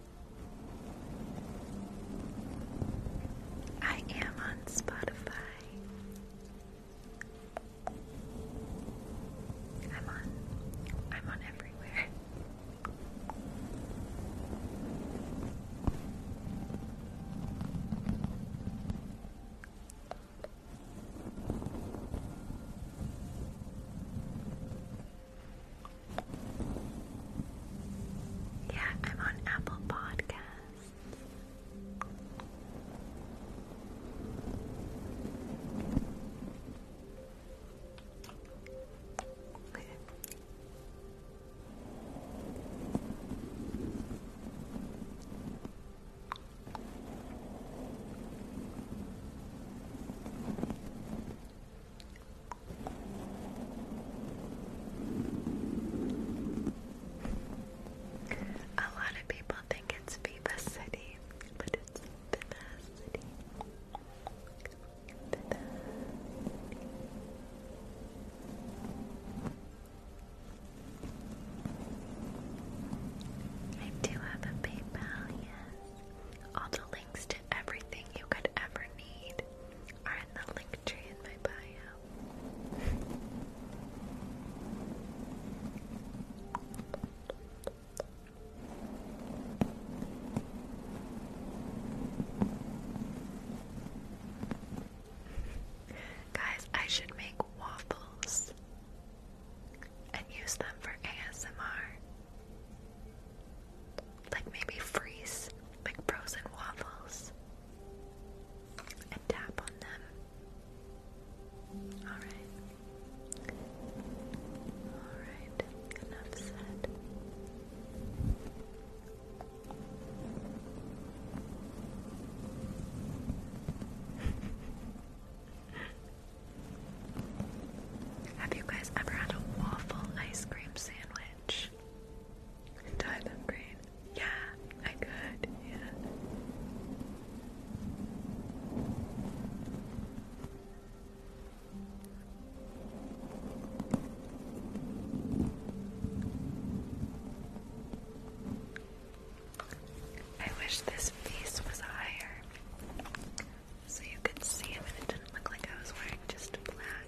I am on Spotify. I'm on I'm on everywhere. Yeah, I'm on Apple Podcasts. A lot of people think it's Viva but it's Viva City. I do have a PayPal, yes. All the links to everything you could ever need Guys, I should make waffles and use them for ASMR. Like maybe freeze like frozen waffles and tap on them. Alright. Alright, enough said. Have you guys ever had a waffle ice cream sandwich? and dye them green. Yeah, I could. Yeah. I wish this piece was higher so you could see it and it didn't look like I was wearing just black.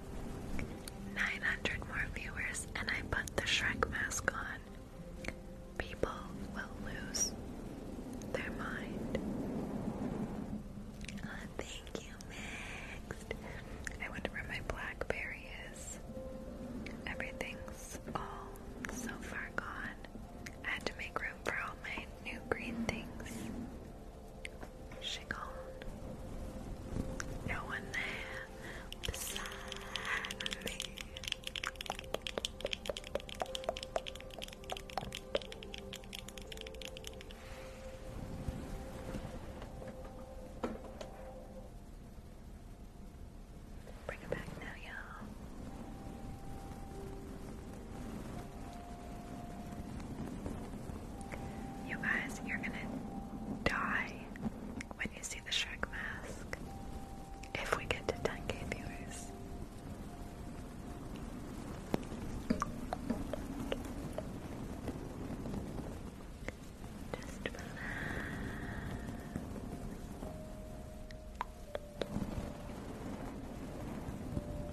900 more viewers and I put the Shrek mask on, people will lose their mind. Ah, thank you, Mixed. I wonder where my Blackberry is. Everything's all so far gone. I had to make room for all my new green things. She gone. No one there beside me. Bring it back now, y'all. You guys, you're gonna die when you see the Shrek mask. If we get to 10k viewers. Just relax.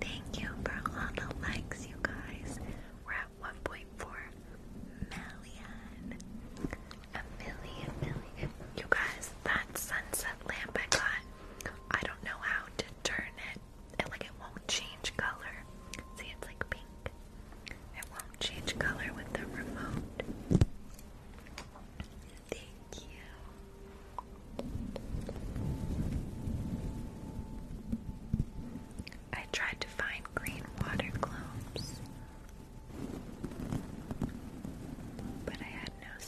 Thank you for all the likes, you guys. We're at 1.4 million. A million, million. You guys, that sunset lamp I got, I don't know how to turn it. like it won't change color. See, it's like pink. It won't change color with the remote. Thank you. I tried to find green water globes, but I had no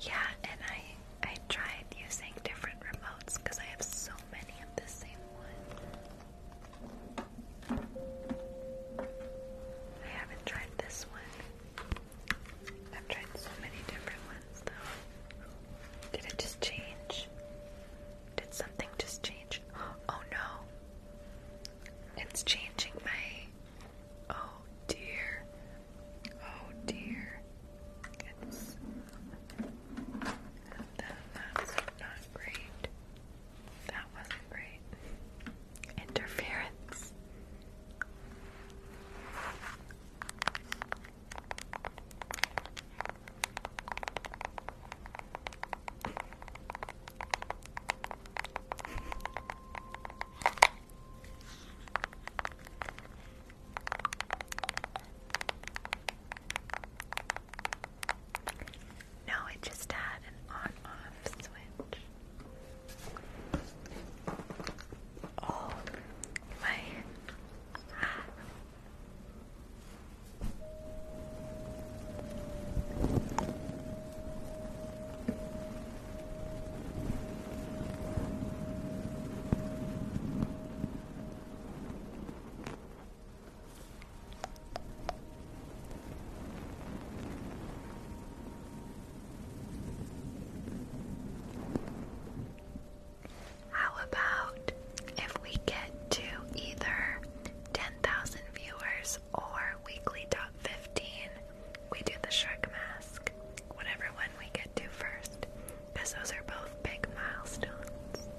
Yeah, and I I tried using different remotes because I have so many of the same one. I haven't tried this one. I've tried so many different ones though. Did it just change? Did something just change? Oh no. It's changing my Oh dear. Oh dear. that's not great. That wasn't great. Interference. No, it just had an on-off switch. Oh, my how about if we get to either 10,000 viewers or weekly top 15? we do the shark mask, whatever one we get to first, because those are both big milestones.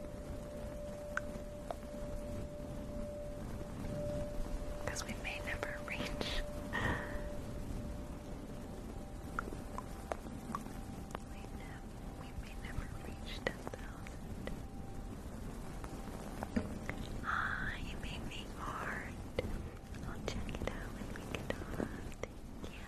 Because we may never reach. We, may never reach 10,000. Ah, you made me hard. I'll check it out when we get on. Thank you.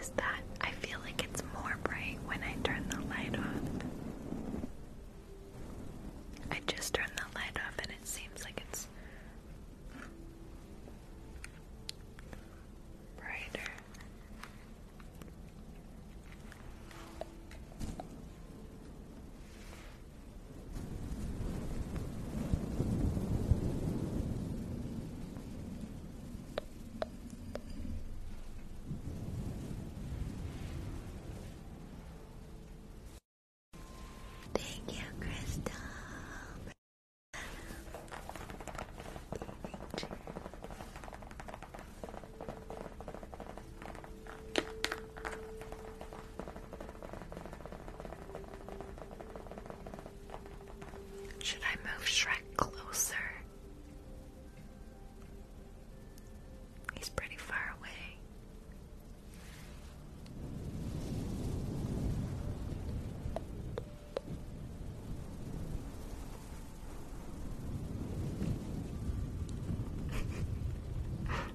Is that? I feel like it's more bright when I turn the light off. I just turned the light off and it seems like it's brighter. Thank you, Crystal. Should I move Shrek closer? He's pretty far away.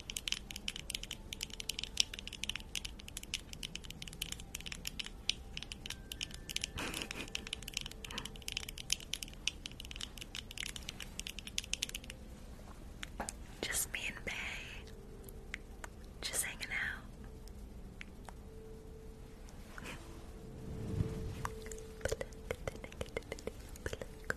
Just me and Bay. Just hanging out.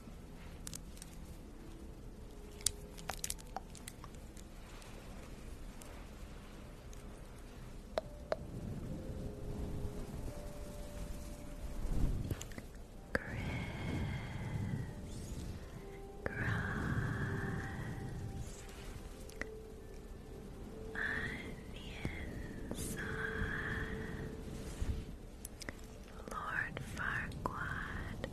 Chris Cross onion sauce Lord Farquaad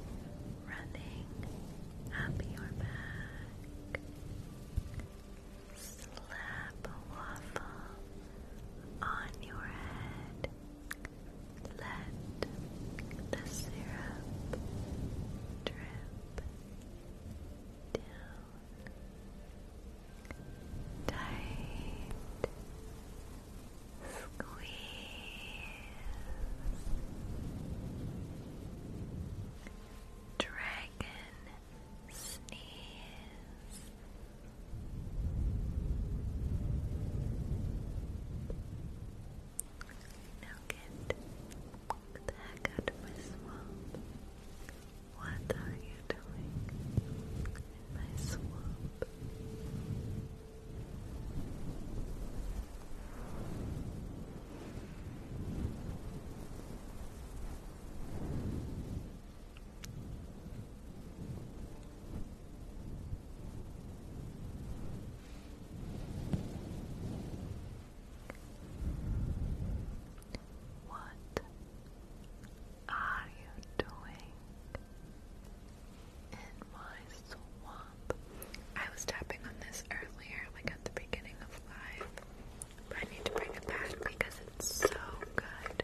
running up your back. Slap waffle on your head. Let the syrup drip down tight squeeze dragon sneeze now get the heck out of my swamp what are you doing? in my swamp. What are you doing in my swamp? I was tapping on this earlier, like at the beginning of live, I need to bring it back because it's so good.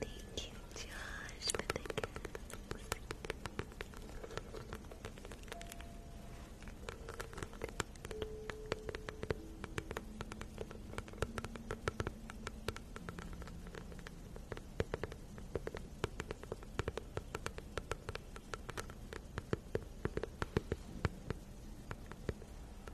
Thank you, Josh, for the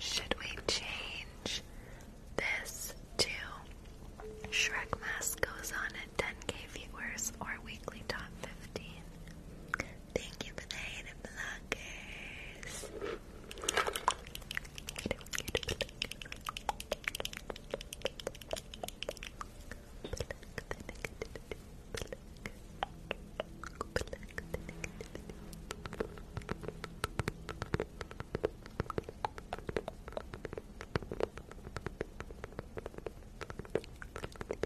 Should we change this to Shrek Mask goes on at 10k viewers or weekly top 15? Thank you for the hated blockers.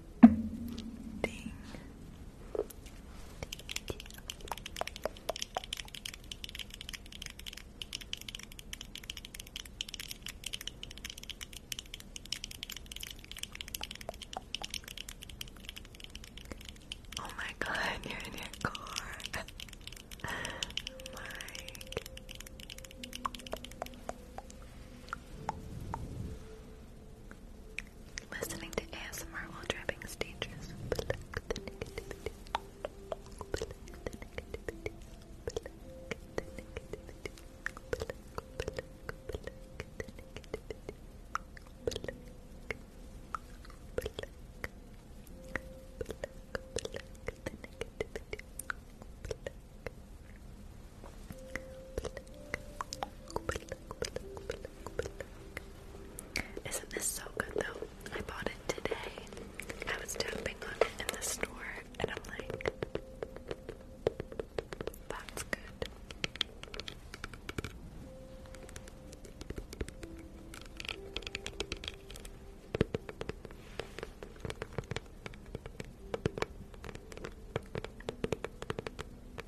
Thank you. Oh my god, you're in your car. Mike. Listening to ASMR while driving stages. Pluck isn't this so good though? I bought it today. I was tapping on it in the store and I'm like, that's good.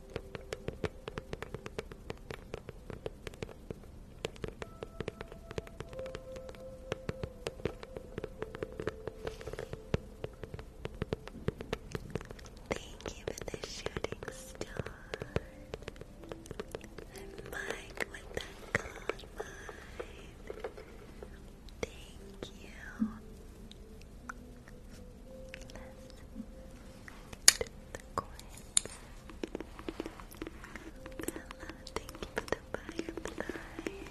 Thank you for the shooting star. I'm Mike with the God Thank you. Let's do the coin thank you for the fireflies.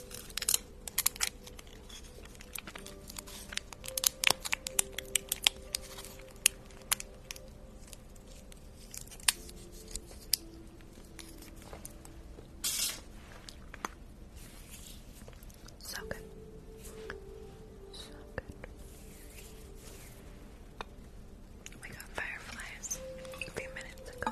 So good. We got fireflies a few minutes ago.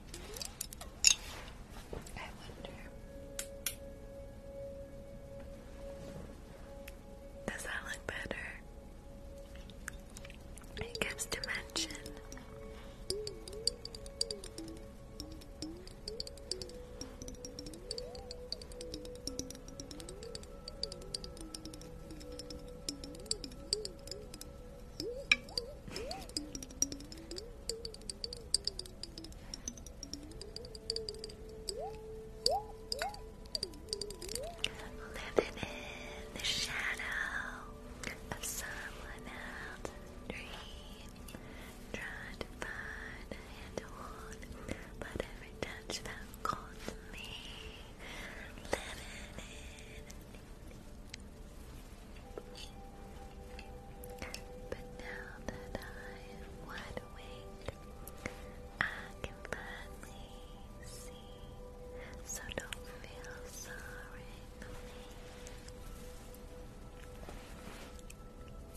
I wonder. Does that look better? It gives dimension. Living in the shadow of someone else's dream. Trying to find a hand to hold, but every touch felt cold to me. Living in but now that I am wide awake, I can finally see. So don't feel sorry for me.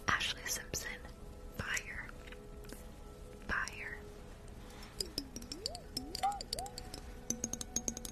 Ashley Simpson, fire. Fire.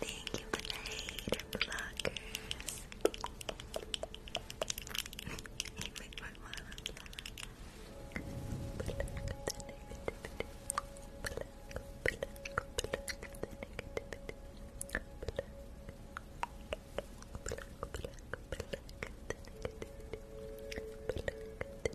Thank you for the hate blockers.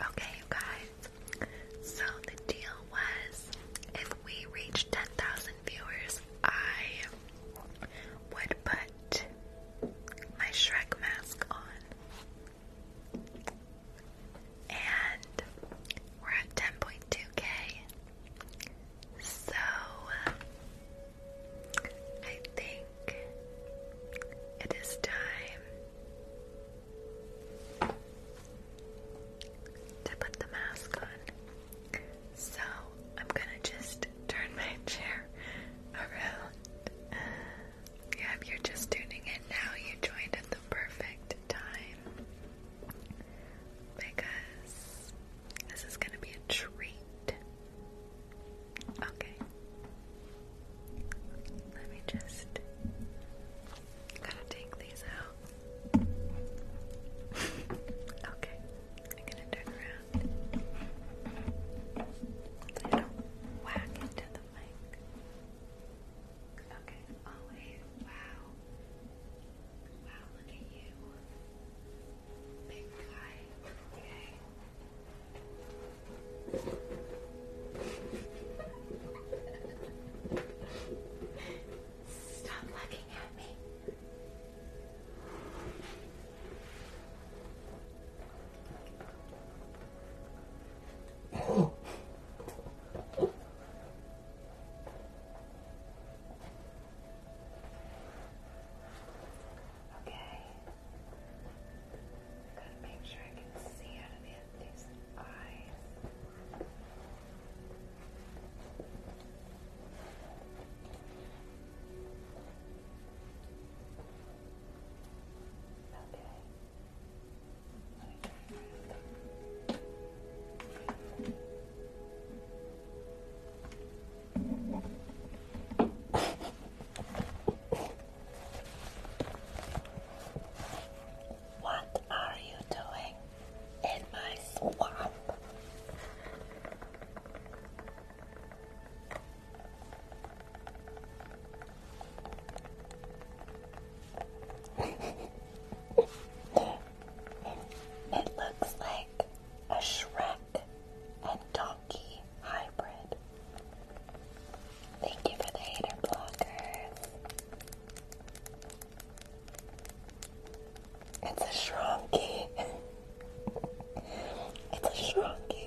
Okay, you guys. So the deal was if we reach 10,000 viewers, I would put my Shrek mask on. And we're at 10.2k. So I think it is time to put the mask on. So I'm gonna just turn my chair around. Yeah, you're just tuning in now, you joined at the perfect time. Because this is going to be a treat. Okay. Let me just. Gotta take these out. okay. I'm gonna turn around. don't whack into the Okay, always. Wow. Wow, look at you. Big guy. Okay. Stop looking at me. Okay. Gotta make sure I can see out of the these eyes. Okay. What are you doing in my swamp? it looks like a Shrek and Donkey hybrid. Thank you for hater blockers. It's a shrunky. it's a shrunky.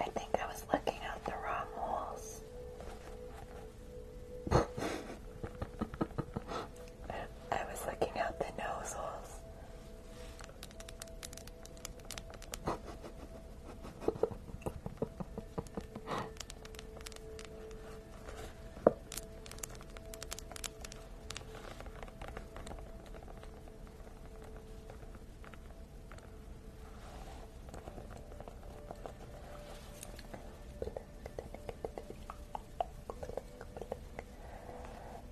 I think I was looking out the wrong holes. I was looking out the nose holes.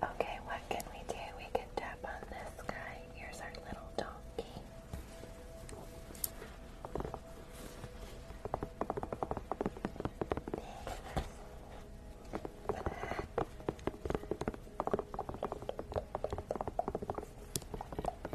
Okay, what can we do? We can tap on this guy. Here's our little donkey.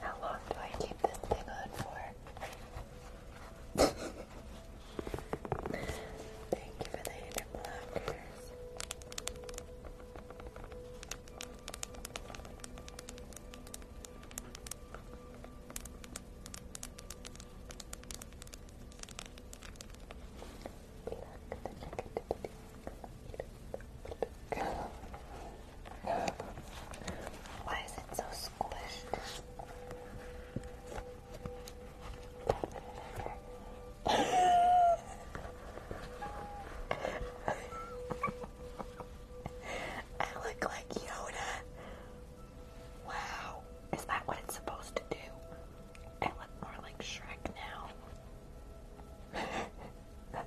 How long do I keep this thing on for? Thank you for the hand blockers. Pluck the negativity. Pluck, pluck, pluck. Why is it so squished? I look like Yoda. Wow. Is that what it's supposed to do? I look more like Shrek now.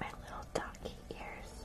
My little donkey ears.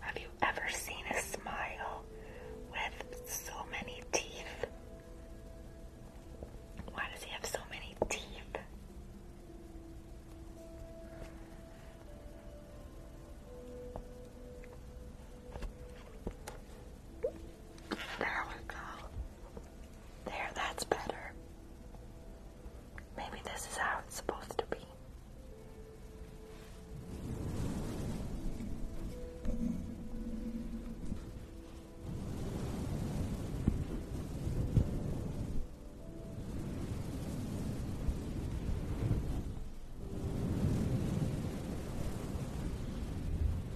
Have you ever seen a smile with so many teeth? Why does he have so many teeth? There we go. There, that's better. Maybe this is how it's supposed to be.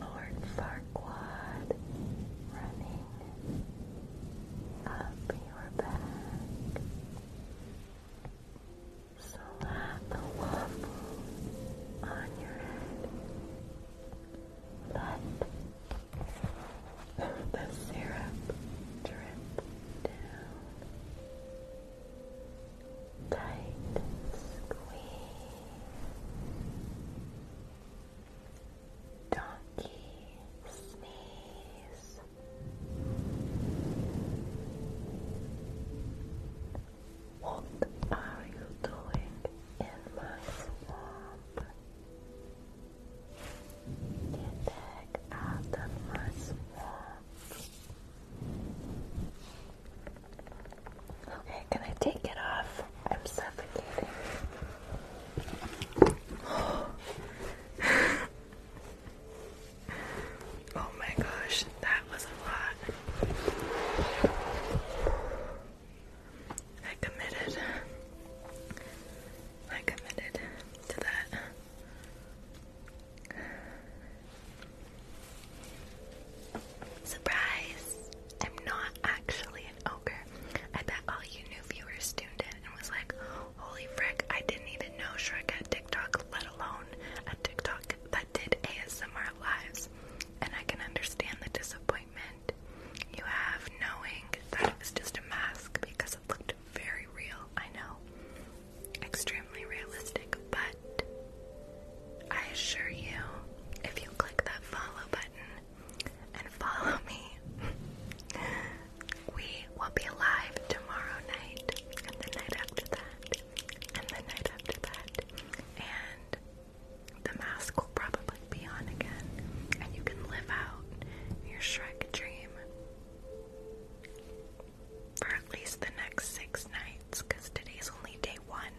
Lord Farquaad running up your back. So, Slap a waffle on your head. Let the syrup drip down. Tight squeeze. Donkey sneeze. What are you doing in my swamp? Get back out of my swamp. Okay, can I take it off? I'm suffocating. Oh my gosh, that was a lot. I committed. I committed to that. Surprise! I'm not actually an ogre. I bet all you new viewers tuned in and was like, holy frick, I didn't even know Shrek TikTok, let alone a TikTok that did ASMR lives and I can understand the disappointment you have knowing that it was just a mask because it looked very real. I know, extremely realistic, but I assure you, if you click that follow button and follow me, we will be alive tomorrow night and the night after that, and the night after that, and the mask will probably be on again, and you can live out your Shrek dream for at least the next six nights, because today's only day one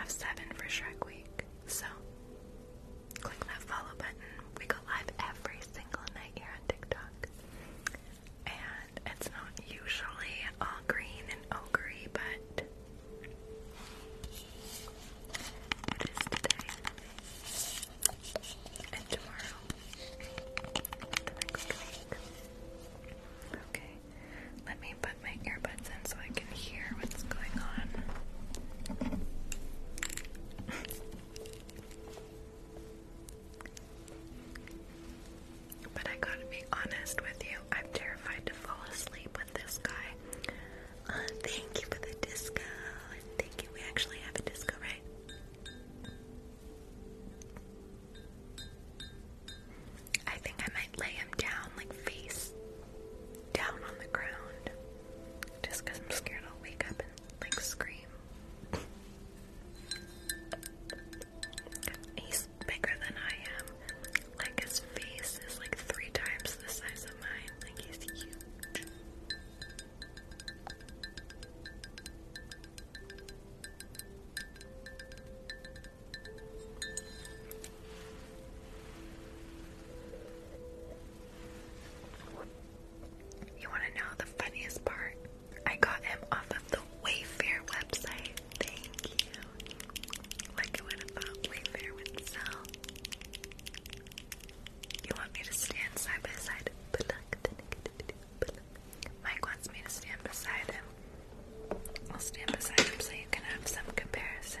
of seven for Shrek Week. So, click that follow button. We go live every single night here on TikTok. And it's not usually all green and ogre, but what is today? And tomorrow? The next week. Okay. Let me put my earbuds in so I can hear what's going on. But I gotta be honest with you, I'm terrified to fall asleep with this guy. Uh, thank you for the disco, thank you. We actually have a disco, right? I think I might lay him down, like face down on the ground, just I'm scared I'll wake up and like scream. He's bigger than I am. Like his face is like three times the size of mine. Like he's huge. You want to know the funniest part? I got him off of the Wayfair website. Thank you like it would have thought Wayfair would sell. You want me to stand side by side? Mike wants me to stand beside him. I'll stand beside him so you can have some comparison.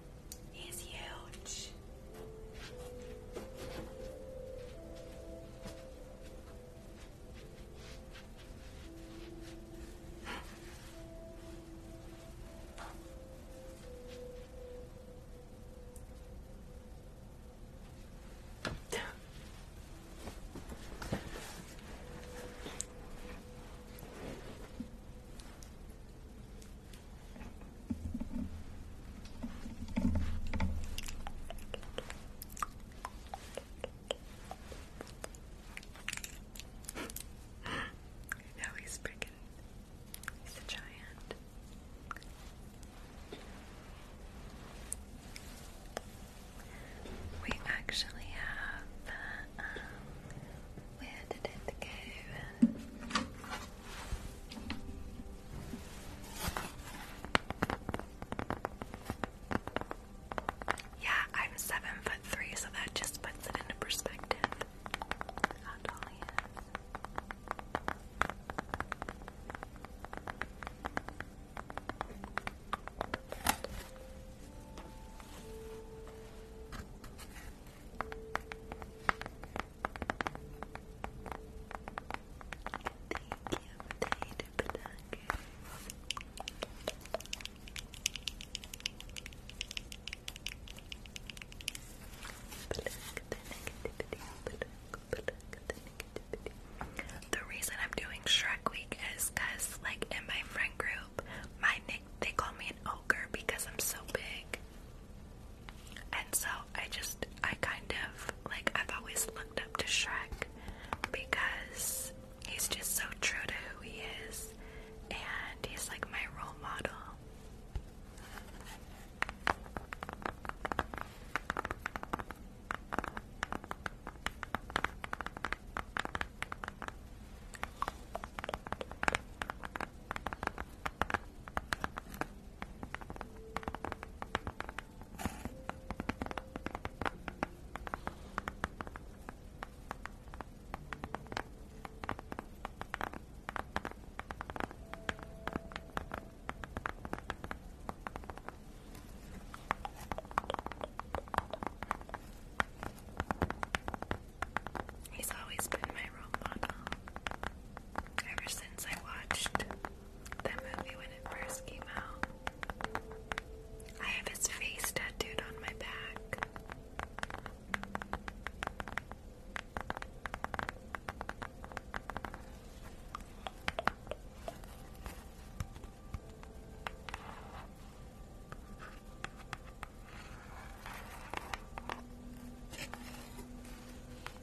He's huge now he's freaking. He's a giant. We actually have. where did it go? Yeah, I'm seven foot three, so that just puts it into perspective. How tall he is. The reason I'm doing Shrek Week is because, like, in my friend group, my nick they call me an ogre because I'm so big. And so I just, I kind of, like, I've always looked up to Shrek because he's just so true to who he is, and he's like my role model. He's always been my role model ever since I watched that movie when it first came out. I have his face tattooed on my back.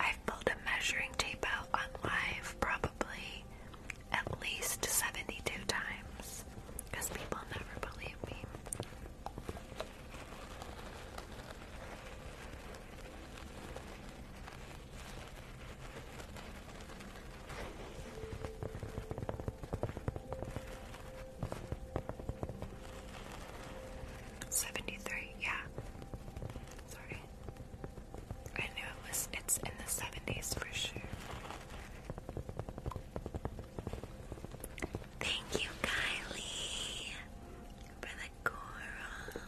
I've pulled a measuring tape out on live probably at least 72 times because people never believe me. Seventy-three, yeah. Sorry. I knew it was it's in the seventies for sure. Thank you, Kylie, for the coral.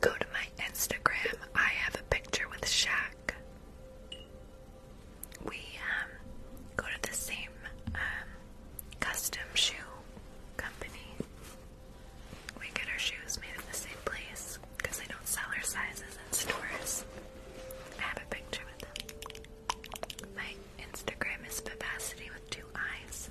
Go to my Instagram. I have a picture with Shaq. We um, go to the same um, custom shoe company. We get our shoes made in the same place because they don't sell our sizes in stores. I have a picture with them. My Instagram is Vivacity with two eyes.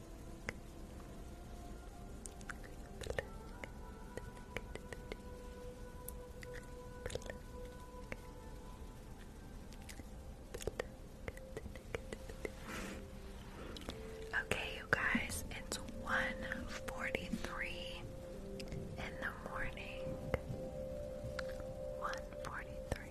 Okay, you guys, it's 1.43 in the morning. 1.43.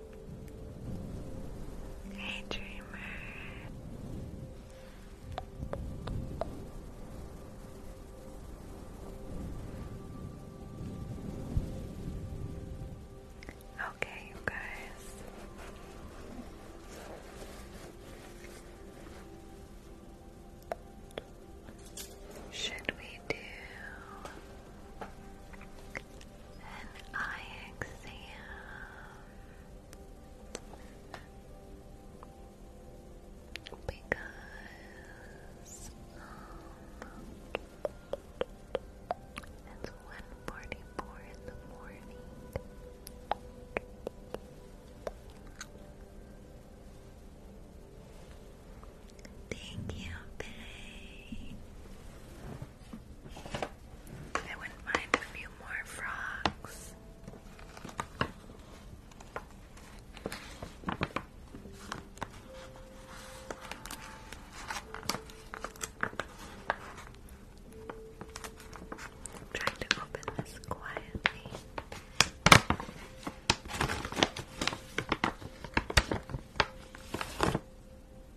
Hey, dreamer. Okay, you guys. Should we do an eye exam because um, it's one forty four in the morning. Thank you, babe. I wouldn't mind a few more frogs. i to open this quietly.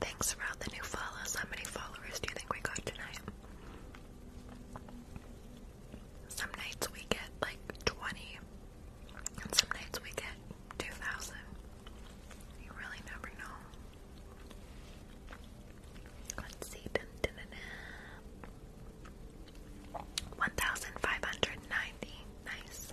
Thanks for all the new follows. How many followers do you think we got tonight? Some nights we get like 20, and some nights we get 2,000. You really never know. Let's see. 1,590. Nice.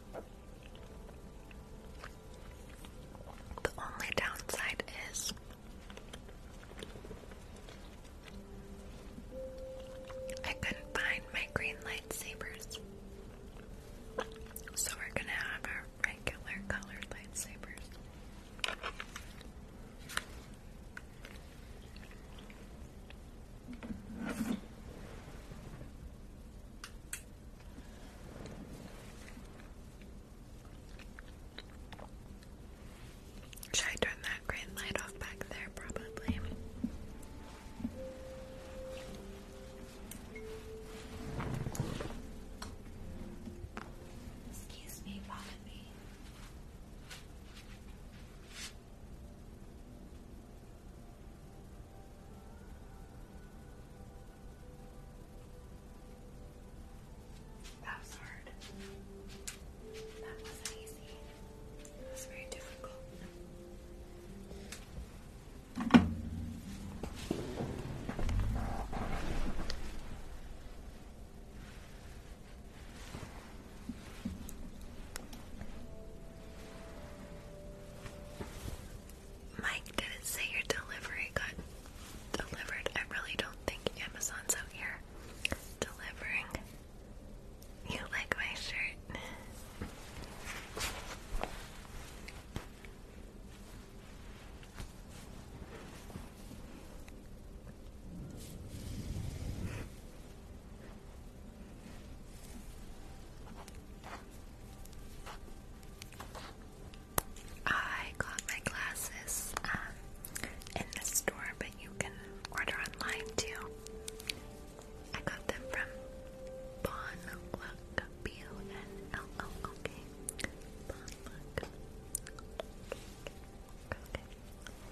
The only downside is I couldn't find my green lightsabers. So we're gonna have our regular colored lightsabers. Should I turn that green light off back there? Probably. Excuse me, pardon me. That was hard. That wasn't easy. It was very difficult. Mike didn't say your delivery got delivered. I really don't think Amazon's out here delivering. You like my shirt? I got my glasses um, in the store, but you can order online too. I got them from Bon B O N L O O K.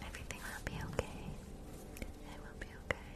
Everything will be okay. It will be okay.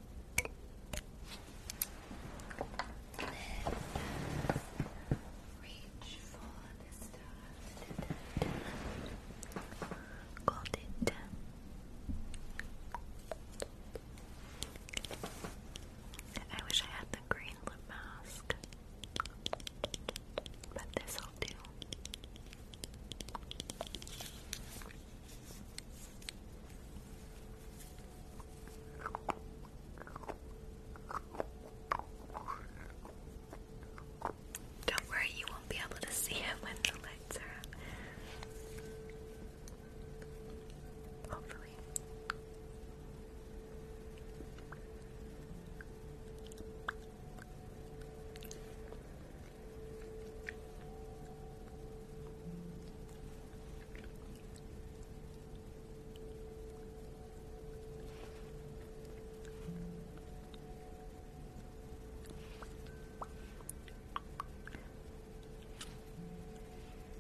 reach for the stars Got it. I wish I had the green lip mask, but this'll do. Don't worry, you won't be able to see it when the lights are Hopefully.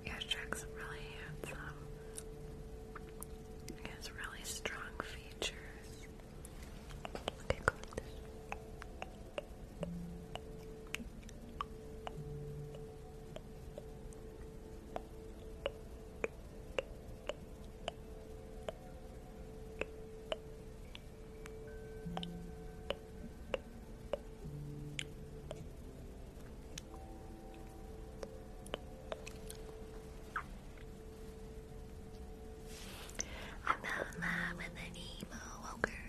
Yeah, Shrek's really handsome. He has really strong features. Okay, cool. I'm in love with an emo ogre.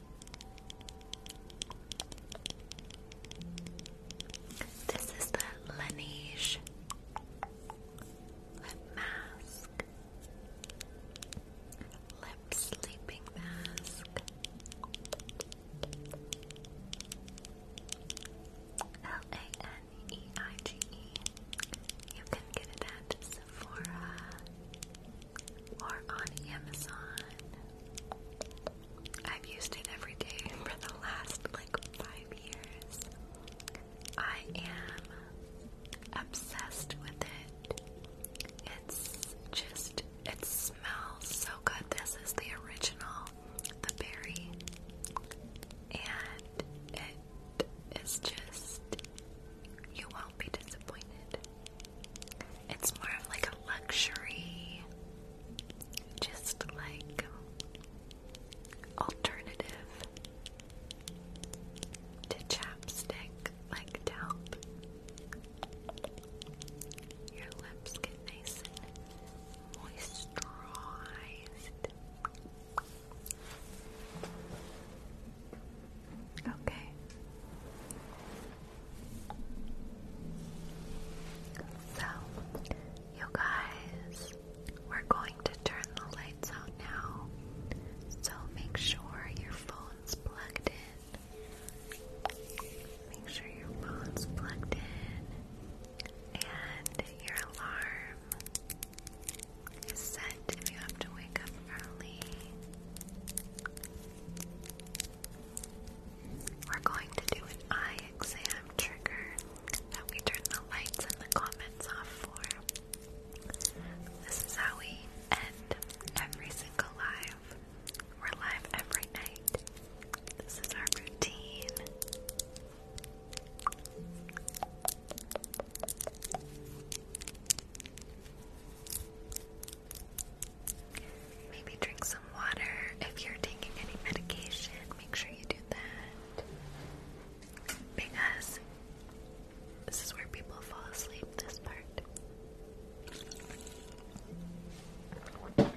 This is the Laneige lip mask, lip sleeping mask. L A N E I G E. You can get it at Sephora or on Amazon. I've used it every day for the last like five years. I am obsessed with it. It's just, it smells so good. This is the original, the berry, and it is just, you won't be disappointed. It's more of like a luxury, just like alternative to chapstick, like help your lips get nice and moisturized. Okay. So, you guys, we're going to turn the lights out now. So, make sure your phone's plugged in. Make sure your phone's plugged in and your alarm is set if you have to wake up early. We're going to do an eye exam trigger Now we turn the lights and the comments off for. This is how we end every single live. We're live every night. This is our routine. Maybe drink some water. If you're taking any medication, make sure you do that. Because this is where people fall asleep, this part. Okay.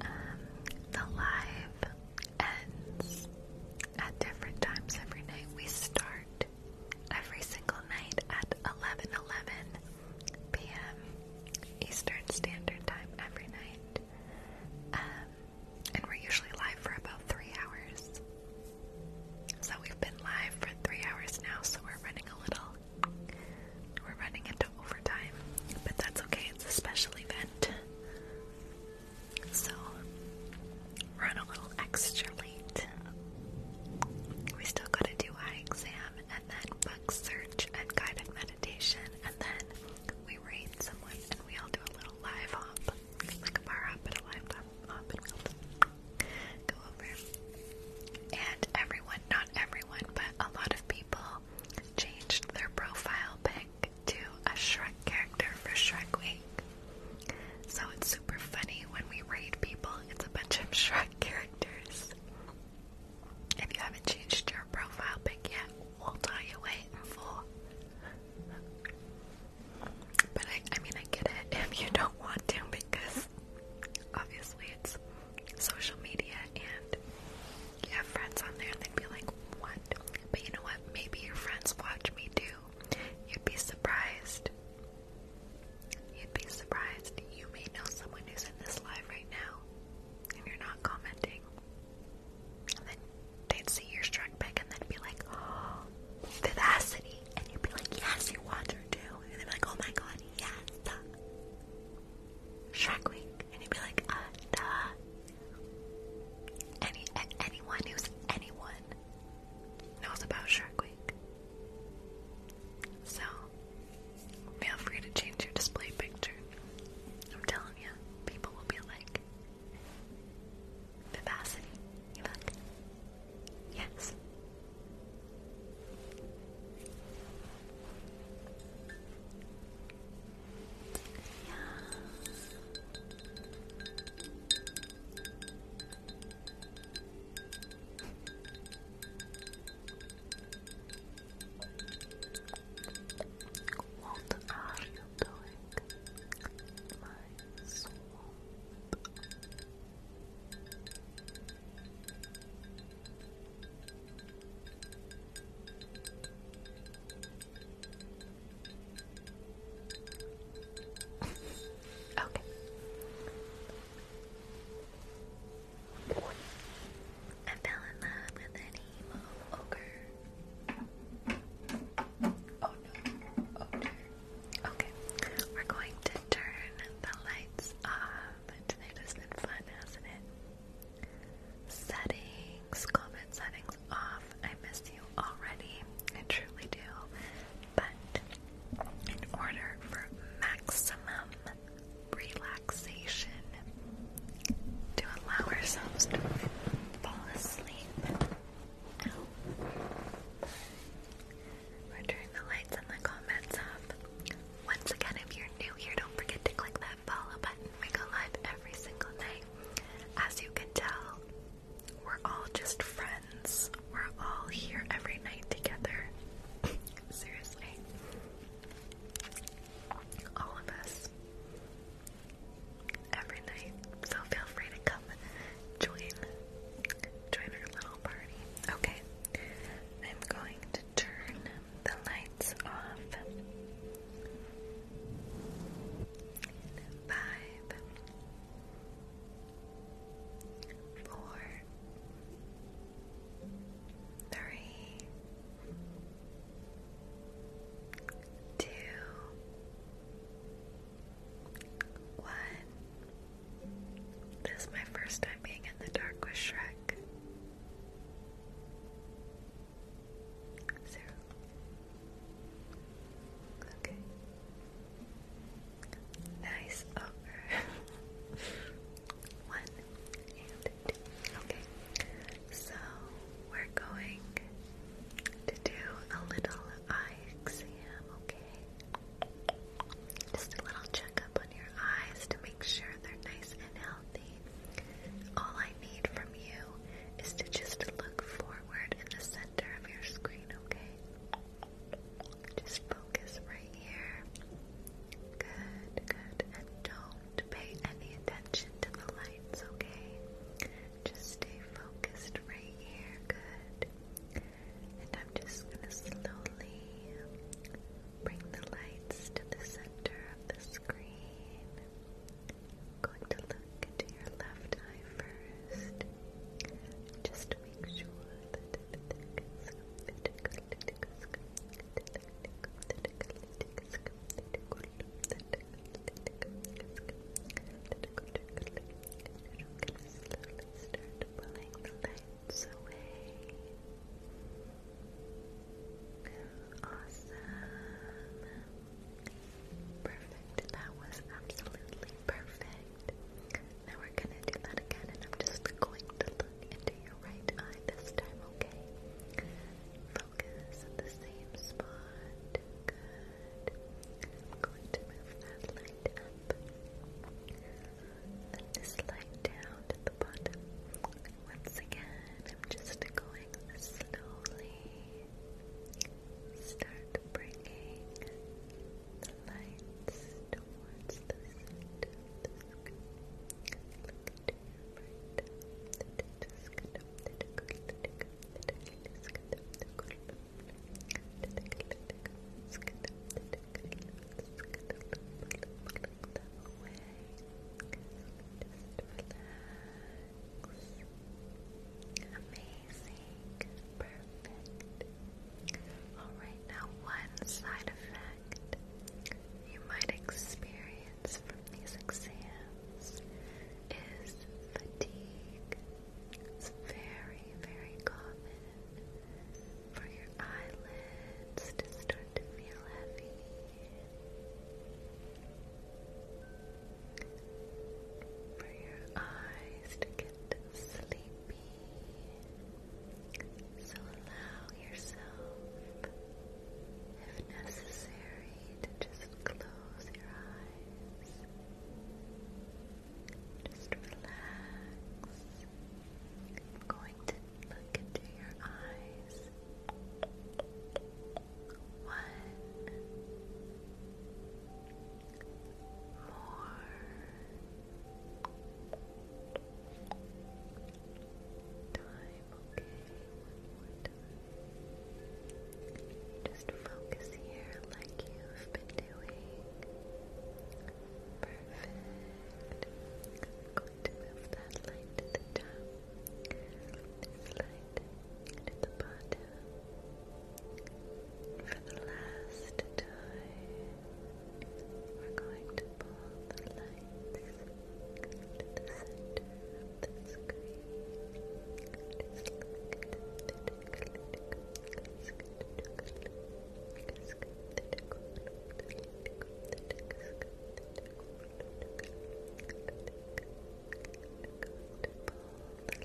Um, the live ends at different times every night. We start every single night at 11 11 p.m. Eastern Standard Time every night. Um, and we're usually live for about three hours. So we've been live for three hours now, so we're running a little, we're running into overtime, but that's okay. It's a special event, so run a little extra late. We still got to do eye exam, and then book search, and guided meditation, and then we rate someone, and we all do a little live hop, like a bar hop, but a live hop, and everyone, not everyone, but a lot of people changed their profile pic to a Shrek character for Shrek Week. So it's super funny when we raid people, it's a bunch of Shrek characters. If you haven't changed your profile pic yet, we'll tell you wait for. But I, I mean, I get it if you don't want to because obviously it's social media and you have friends on there and they'd be like, what? But you know what? Maybe your friends watch me too. You'd be surprised. You'd be surprised. You may know someone who's in this live right now and you're not commenting. And then they'd see your strike back and then be like, oh, vivacity and you'd be like, yes, you want her too. And they'd be like, oh my god, yes. Shrek And you'd be like, ah, Any, anyone who's anyone knows about Shrek So, feel free to change your display picture. I'm telling you, people will be like, vivacity. You're Yes. Yeah. What are you doing, my soul? okay. I fell in love with an emo ogre. Oh no, ogre. Okay, we're going to turn the lights off. Tonight has been fun, hasn't it? Settings, COVID settings off. I miss you already. I truly do. But in order for maximum relaxation, to allow ourselves to fall asleep. We're turning the lights and the comments up. Once again, if you're new here, don't forget to click that follow button. We go live every single night. As you can tell, we're all just friends. We're all here every night together. Seriously. All of us. Every night. So feel free to come join. Join our little party. Okay. I'm going to turn the lights off. five, four, three, two, one. This is my first time being in the dark with Shrek. Zero. Okay. Nice over. One and two. Okay. So we're going to do a little eye exam, okay? Just a little checkup on your eyes to make sure they're nice and healthy. All I need from you is to just look forward in the center of your screen, okay? Just focus right here. Good, good. And don't pay any attention to the lights, okay? Just stay focused right here. Good. And I'm just going to slowly bring the lights to the center of the screen. going to look into your left eye first. Just make sure that the light so away. Awesome. Perfect. That was absolutely perfect. Now we're going to do that again, and I'm just going to look into your right eye this time, okay? Focus at the same spot. Good. I'm going to move that light let this slide down to the bottom. Once again, I'm just going slowly. Start bringing the lights towards the center Amazing. Perfect. Alright, now one side effect you might experience from these exams is fatigue. It's very, very common for your eyelids to start to feel heavy. For your eyes to get sleepy. So allow yourself, if necessary, to just close your eyes. Just relax. I'm going to look into your eyes. One more. Time, okay. Just focus here like you've been doing. Perfect. I'm going to move that light to the top. This light to the bottom. For the last time, we're going to pull the lights to the center the screen the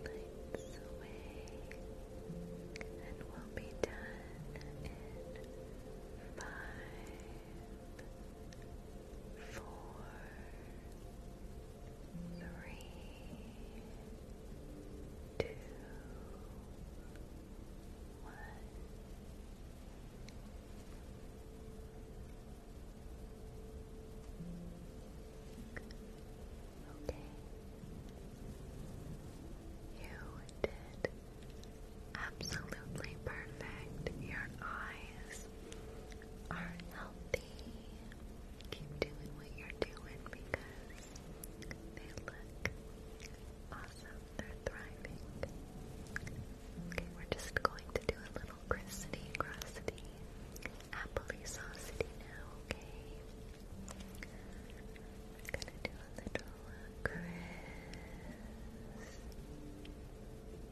lights away, and we'll be done in five, four, three, two. One. Okay. You did absolutely perfect. Your eyes are healthy. Keep doing what you're doing because they look awesome. They're thriving. Okay, we're just going to do a little crusty, crusty, applesaucity now, okay? We're gonna do a little crisp,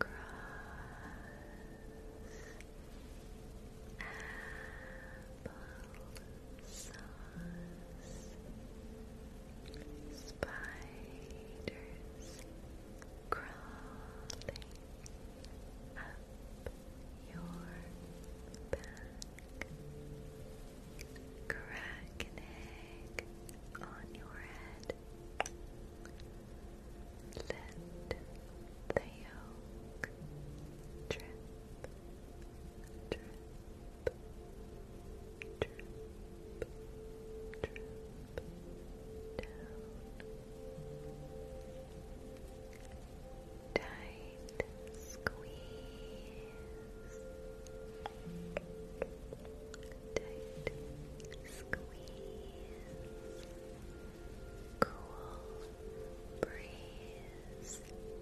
uh, cross, apple, sauce, spiders crawling up your back, crack on your head. Let the yolk drip, drip, drip, Tight squeeze. Tight squeeze. Cool breeze.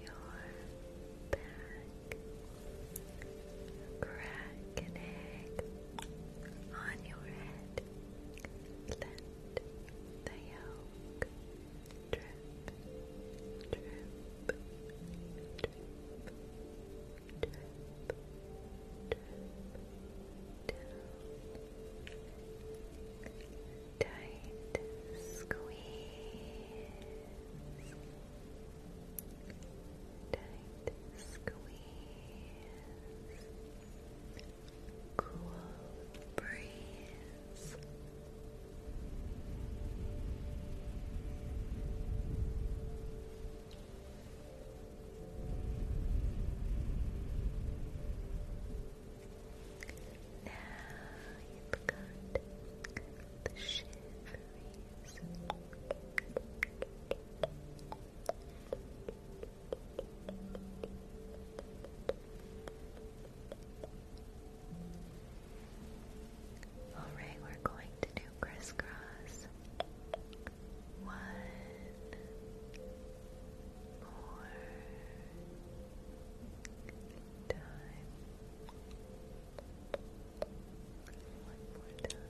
your back. Crack on your head. Let the yolk drip, drip, drip, drip, drip, drip down tight squeeze, tight squeeze, cool breeze. Alright, we're going to do crisscross. One more time more time.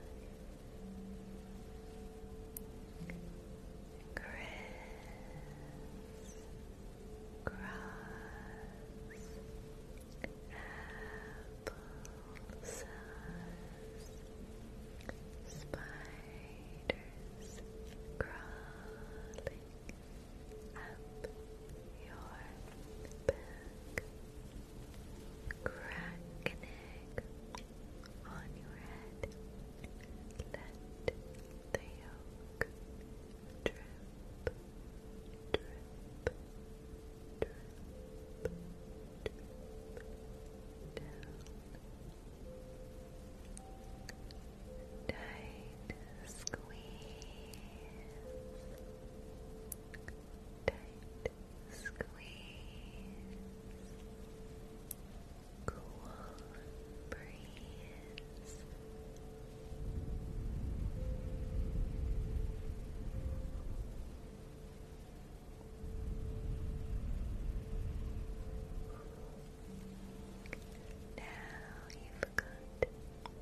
Chris, grass, applesauce, spiders crawling up your back. Crack an egg on your head. Let the yolk drip, drip, drip, drip down. Tight squeeze, tight squeeze, cool breeze. Now you've got the you Okay,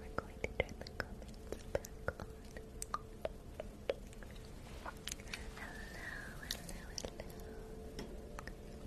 we're going to turn the comments back on. Hello, hello, hello.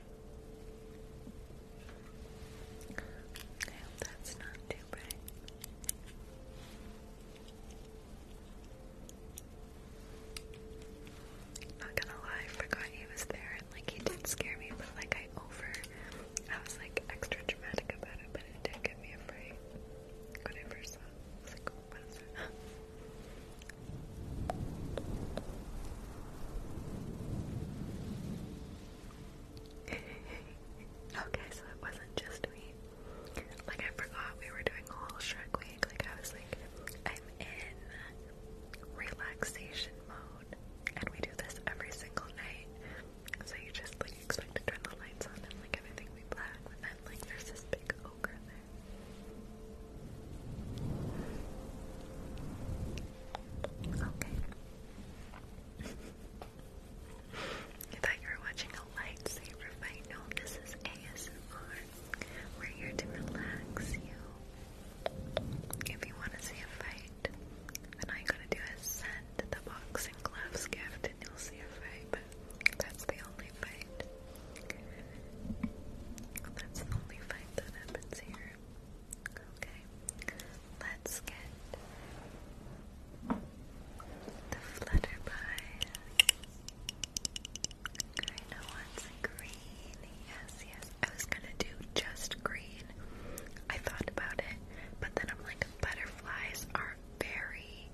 I hope that's not too bright. Not gonna lie, I forgot he was there and like he did scare me, but like I over I was like extra dramatic about it, but it did get me afraid when I first saw okay, so it wasn't just me. Like, I forgot we were doing a whole Shrek week. Like, I was like, I'm in relaxation mode, and we do this every single night. So you just like expect to turn the lights on and like everything be black, but then like there's this big ogre there. Okay. I thought you were watching a lightsaber fight. No, this is ASMR. We're here to relax you. If you want to see a fight, then all you gotta do is send the boxing gloves gift and you'll see a fight, but that's the only fight. That's the only fight that happens here. Okay, let's get the flutterby. I know what's green. Yes, yes. I was gonna do just green. I thought about it, but then I'm like, butterflies are very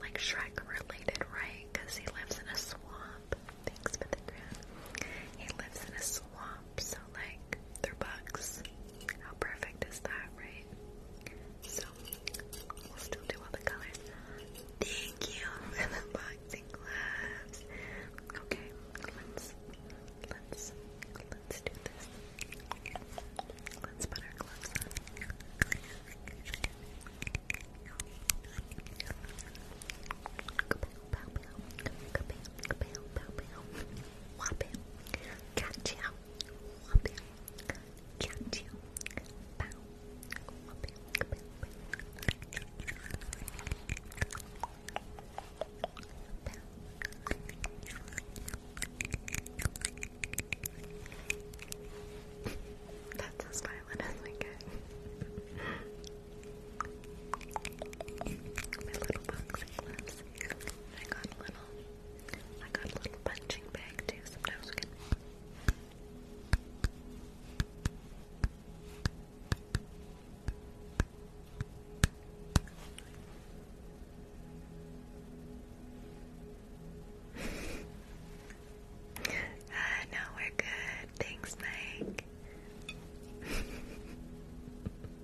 like Shrek related, right? Because he lives in a swamp. Thanks for the He lives in a swamp so like they're How perfect is that, right? So we'll still do all the colors. Thank you for the boxing gloves. Okay, let's let's let's do this. Let's put our gloves on catch you, catch you, bow, whopping, That's as violent as we get. My little boxing gloves. I got a little, I got a little punching bag too, sometimes we uh, no, we're good. Thanks, Mike.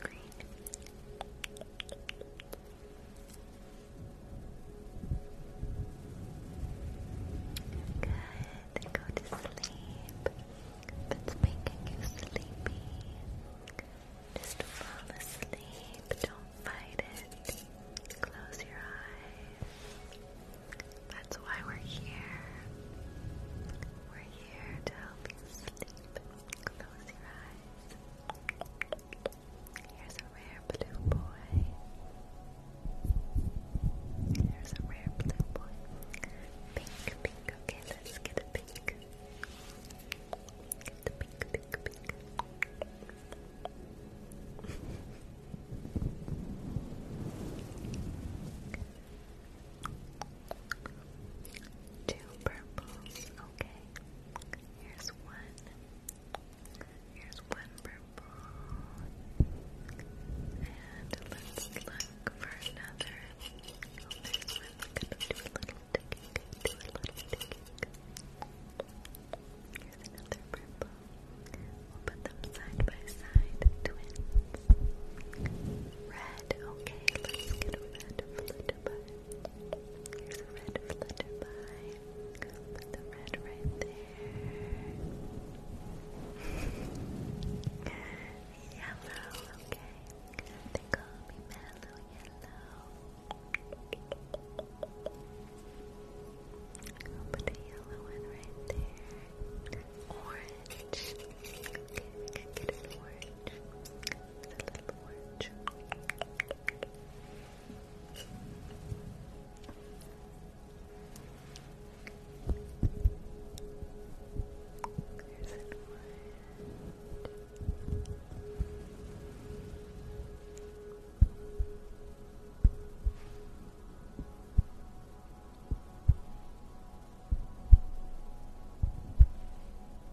Green. Good. Go to sleep. it's making you sleepy, just fall asleep. Don't fight it. Close your eyes. That's why we're here. We're here to help you sleep. Close your eyes. Here's a rare blue boy. Here's a rare blue boy. Pink, pink. Okay, let's get a pink. Get pink, pink, pink. Two purples, okay. Here's one. Here's one purple. And let's look for another. Oh, this one's gonna do little digging, do a little digging. Here's another purple. We'll put them side by side, twins. Red, okay, let's get a red flip flutterby. Here's Put the red right there. yellow, okay. They call me mellow yellow. put a yellow one right there. Orange. Okay, get an orange porch. Here's an orange. Here's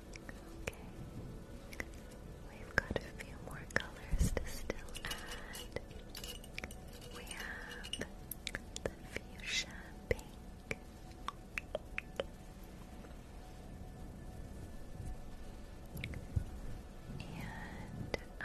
Okay. We've got a few more colors to still add. We have the fuchsia pink. And uh,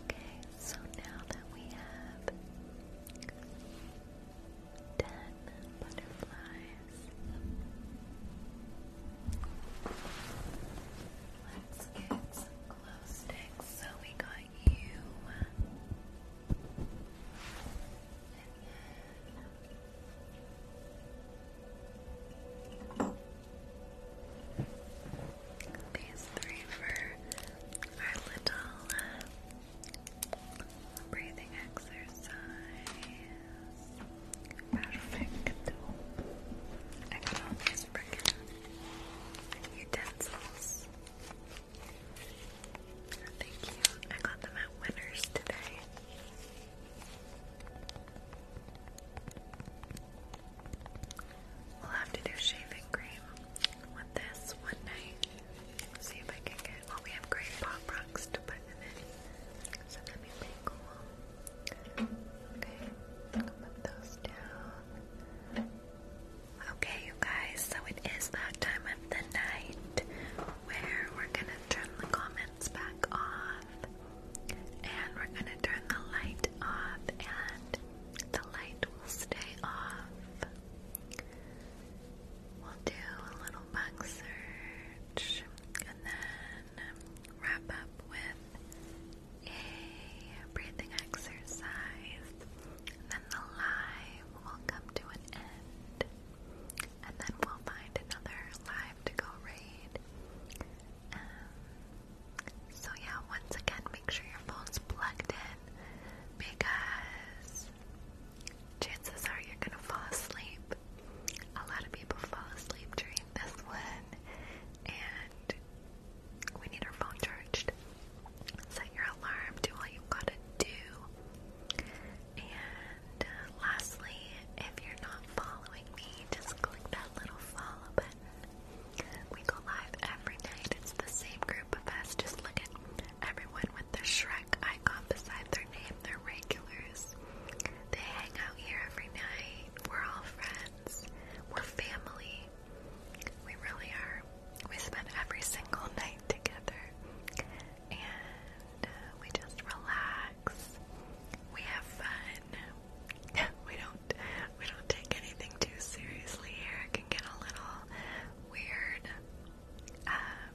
Okay, so now that we have ten butterflies, let's get some glow sticks. So we got you, these three for our little uh, breathing exercise. Perfect. I got all these freaking utensils. Thank you. I got them at Winners today. We'll have to do shaving cream with this one night. See if I can get. Well, we have great pop rocks to put in it, so that'd be cool. Okay, put those down. Okay, you guys. So it is that time of the night where we're gonna turn the comments back on and we're gonna turn the light off and the light will stay off. We'll do a little bug search and then wrap up with a breathing exercise. And then the live will come to an end and then we'll find another live to go raid. Um, so yeah, once again, make sure your phone's plugged in because chances are you're gonna fall asleep. A lot of people fall asleep during this one, and we need our phone charged. Set your alarm, do all you gotta do, and and uh, lastly, if you're not following me, just click that little follow button. We go live every night. It's the same group of us. Just look at everyone with the Shrek icon beside their name. They're regulars. They hang out here every night. We're all friends. We're family. We really are. We spend every single night together. And uh, we just relax relax. We have fun. we don't we don't take anything too seriously here. It can get a little weird. Um,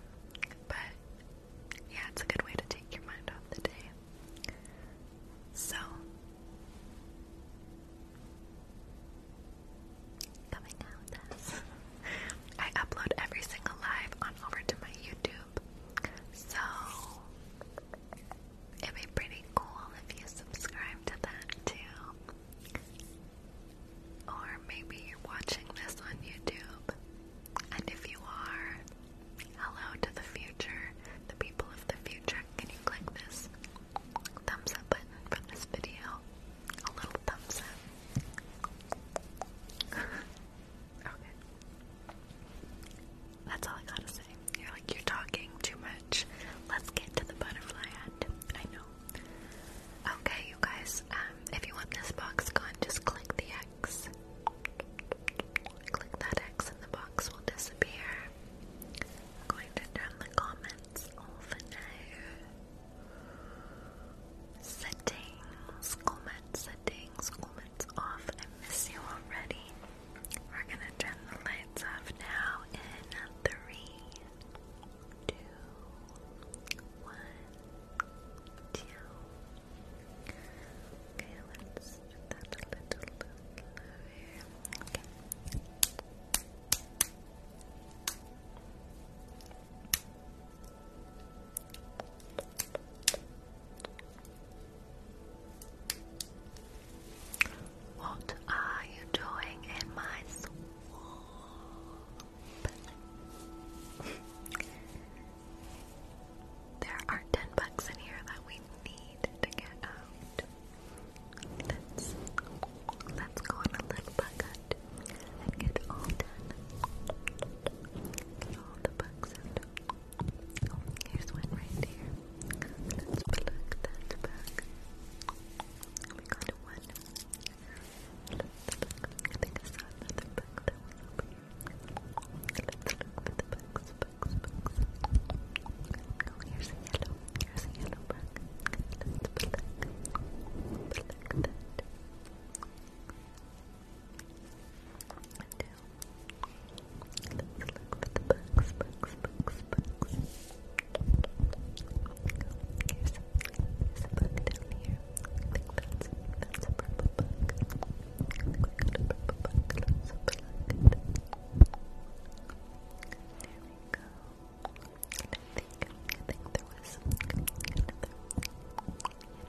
but yeah, it's a good way to take your mind off the day. So coming out I upload every single live on over to my YouTube YouTube. So it'd be pretty cool if you subscribe to that too. Or maybe you're watching this on YouTube. And if you are, hello to the future, the people of the future. Can you click this thumbs up button for this video? A little thumbs up. okay. That's all I gotta say. You're like, you're talking too much. Let's get to the butterfly end. I know. Okay, you guys, um, if you want this box gone, just click the X. Click that X and the box will disappear. I'm going to turn the comments over now. Settings, comments, settings, comments off, I miss you already. We're gonna turn the lights off now in three, two, one, two. Okay, let's do that a little lower. Okay. Okay, what are you doing in my swamp? there are ten bucks in here that we need to get out. Let's let's go on a little bucket and get all ten. all the bucks out. Here's one right here. Let's plug that back. We got one. Let's look. I think I saw another that was Let's look for the bugs, bugs, bugs. Oh, here's a yellow. Here's a yellow bug. Let's plug. Plug that. And do. Let's look for the bugs, bugs, bugs, bugs. Here's a, here's a bug down here. I think that's, that's a purple bug. I think we got a purple bug. Let's unplug it. There we go. And I think, I think there was another, yeah,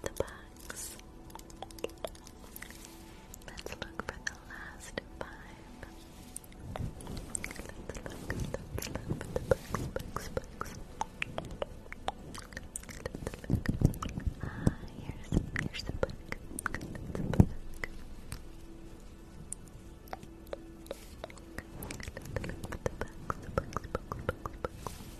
the box. Let's look for the last five. Let's look, let the box, box, box. Ah, here's, here's the book. the box, the box, box, box.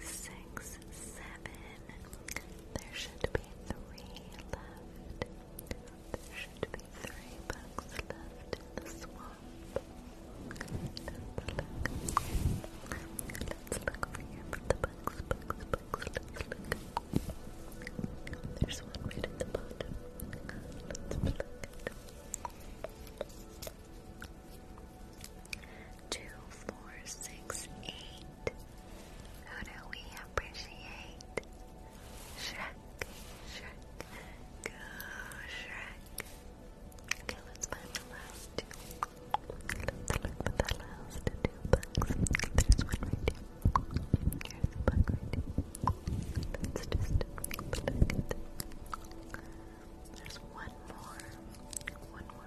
six, seven. There should be three left. There should be three bucks left in the swamp. Let's look. Let's look over here the bucks, bucks, bucks. There's one right at the bottom. Let's look two, four, six, eight. Who do we appreciate? Shrek, Shrek, go Shrek. Okay, let's find the last two. Let's look the last two bugs. There's One more.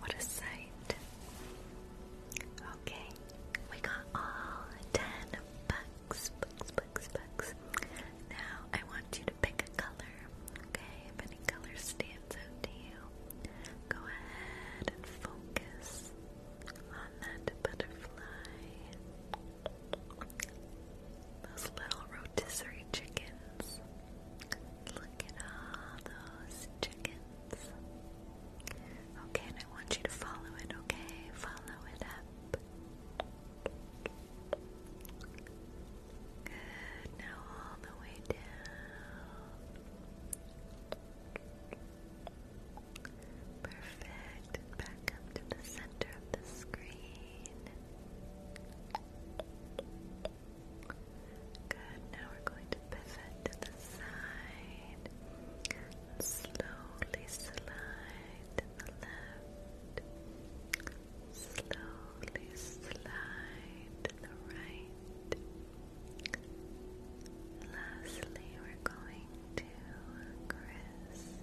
What a sight. Okay, we got all ten bucks, bucks, bucks, bucks. Now I want you to pick a color. Okay, if any color stands out to you, go ahead and focus on that butterfly. Those little rotisserie chickens. Look at all those chickens. Okay, I want you to follow it, okay? Follow it up. Good, now all the way down. Perfect, back up to the center of the screen. Good, now we're going to pivot to the side. Slowly slide to the left. Slowly slide to the right. Lastly, we're going to cross,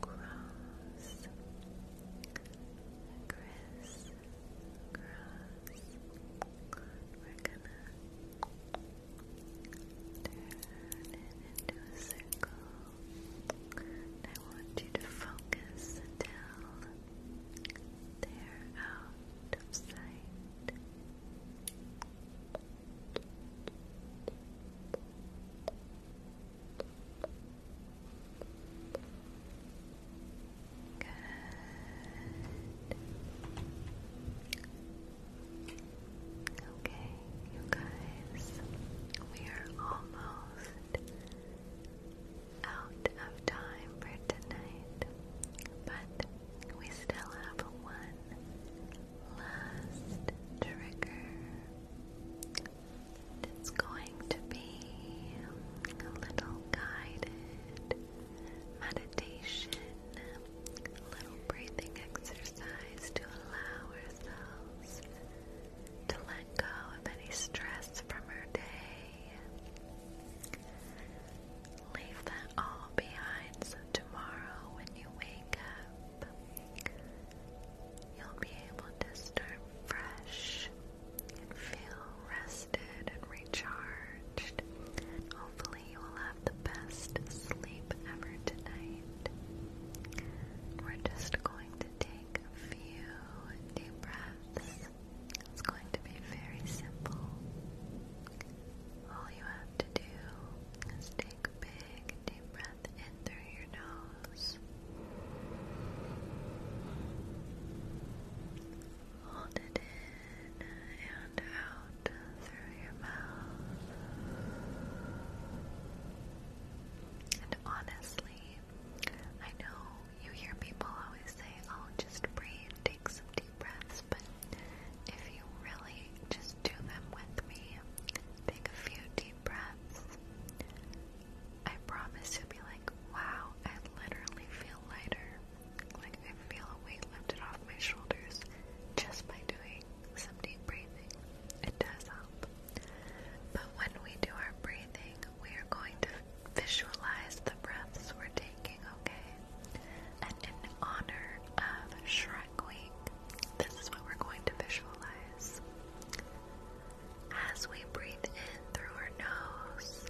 cross, cross, across. We're gonna turn it into a circle. I want you to focus until they're out of sight. Good. Okay, you guys, we are almost out of time for tonight, but we still have one last trigger. It's going to be a little guided meditation, a little breathing exercise to allow ourselves to let go of any stress from our day. Leave that all behind so tomorrow when you wake up, you'll be able to start fresh and feel rested and recharged. hopefully, you will have the best sleep ever tonight. We're just going to take a few deep breaths. It's going to be very simple. All you have to do is take a big deep breath in through your nose. Hold it in and out through your mouth. And honestly, I know you hear people always say, oh, just breathe, take some deep breaths, but if you really just do them with me, take a few deep breaths, I promise you'll be like, wow, I literally feel lighter. Like I feel a weight lifted off my shoulders just by doing some deep breathing. It does help. But when we do our breathing, we are going to visualize the breaths we're taking, okay? And in honor of Shrek Week, this is what we're going to visualize. As we breathe in through our nose,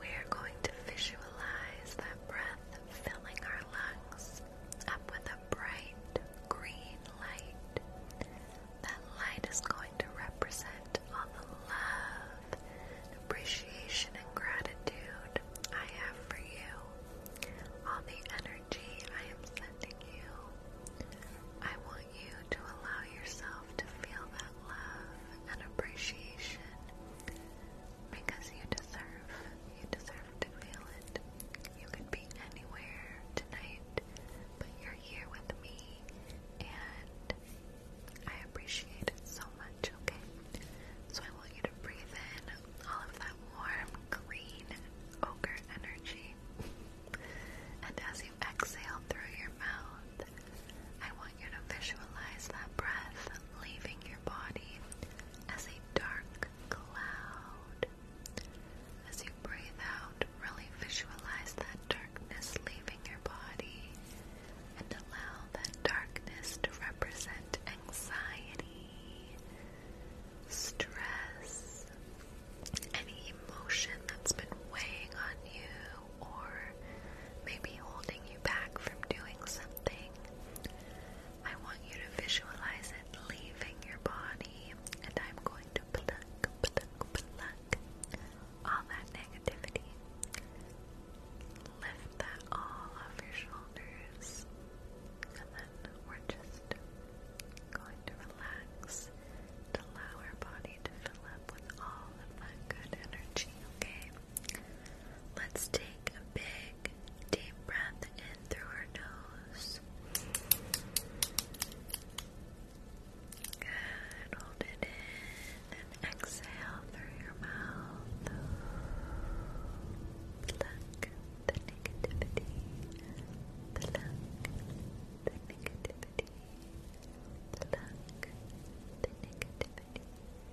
we are going to visualize that breath filling our lungs up with a bright green light. That light is going to represent all the love, appreciation, and gratitude I have for you. All the energy I am sending you. I want you to allow yourself to feel that love and appreciation because you deserve, you deserve to feel it. You could be anywhere tonight, but you're here with me and I appreciate it so much, okay? So I want you to breathe in all of that warm, green ogre energy. And as you exhale through your mouth, I want you to visualize that breath leaving your body as a dark cloud. As you breathe out, really visualize that darkness leaving your body and allow that darkness to represent anxiety, stress, any emotion that's been weighing on you or maybe holding you back from doing something. I want you to visualize it leaving your body, and I'm going to pluck, pluck, pluck all that negativity. Lift that all off your shoulders, and then we're just going to relax, to allow our body to fill up with all of that good energy, okay? Let's take a big, deep breath in through our nose. Good. Hold it in and exhale through your mouth. Pluck the negativity. Pluck the negativity. Pluck the negativity.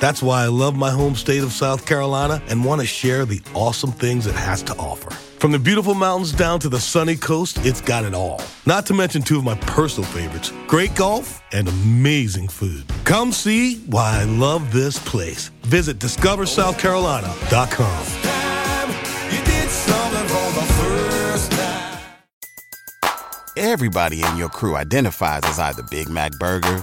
That's why I love my home state of South Carolina and want to share the awesome things it has to offer. From the beautiful mountains down to the sunny coast, it's got it all. Not to mention two of my personal favorites great golf and amazing food. Come see why I love this place. Visit discoversouthcarolina.com. Everybody in your crew identifies as either Big Mac Burger,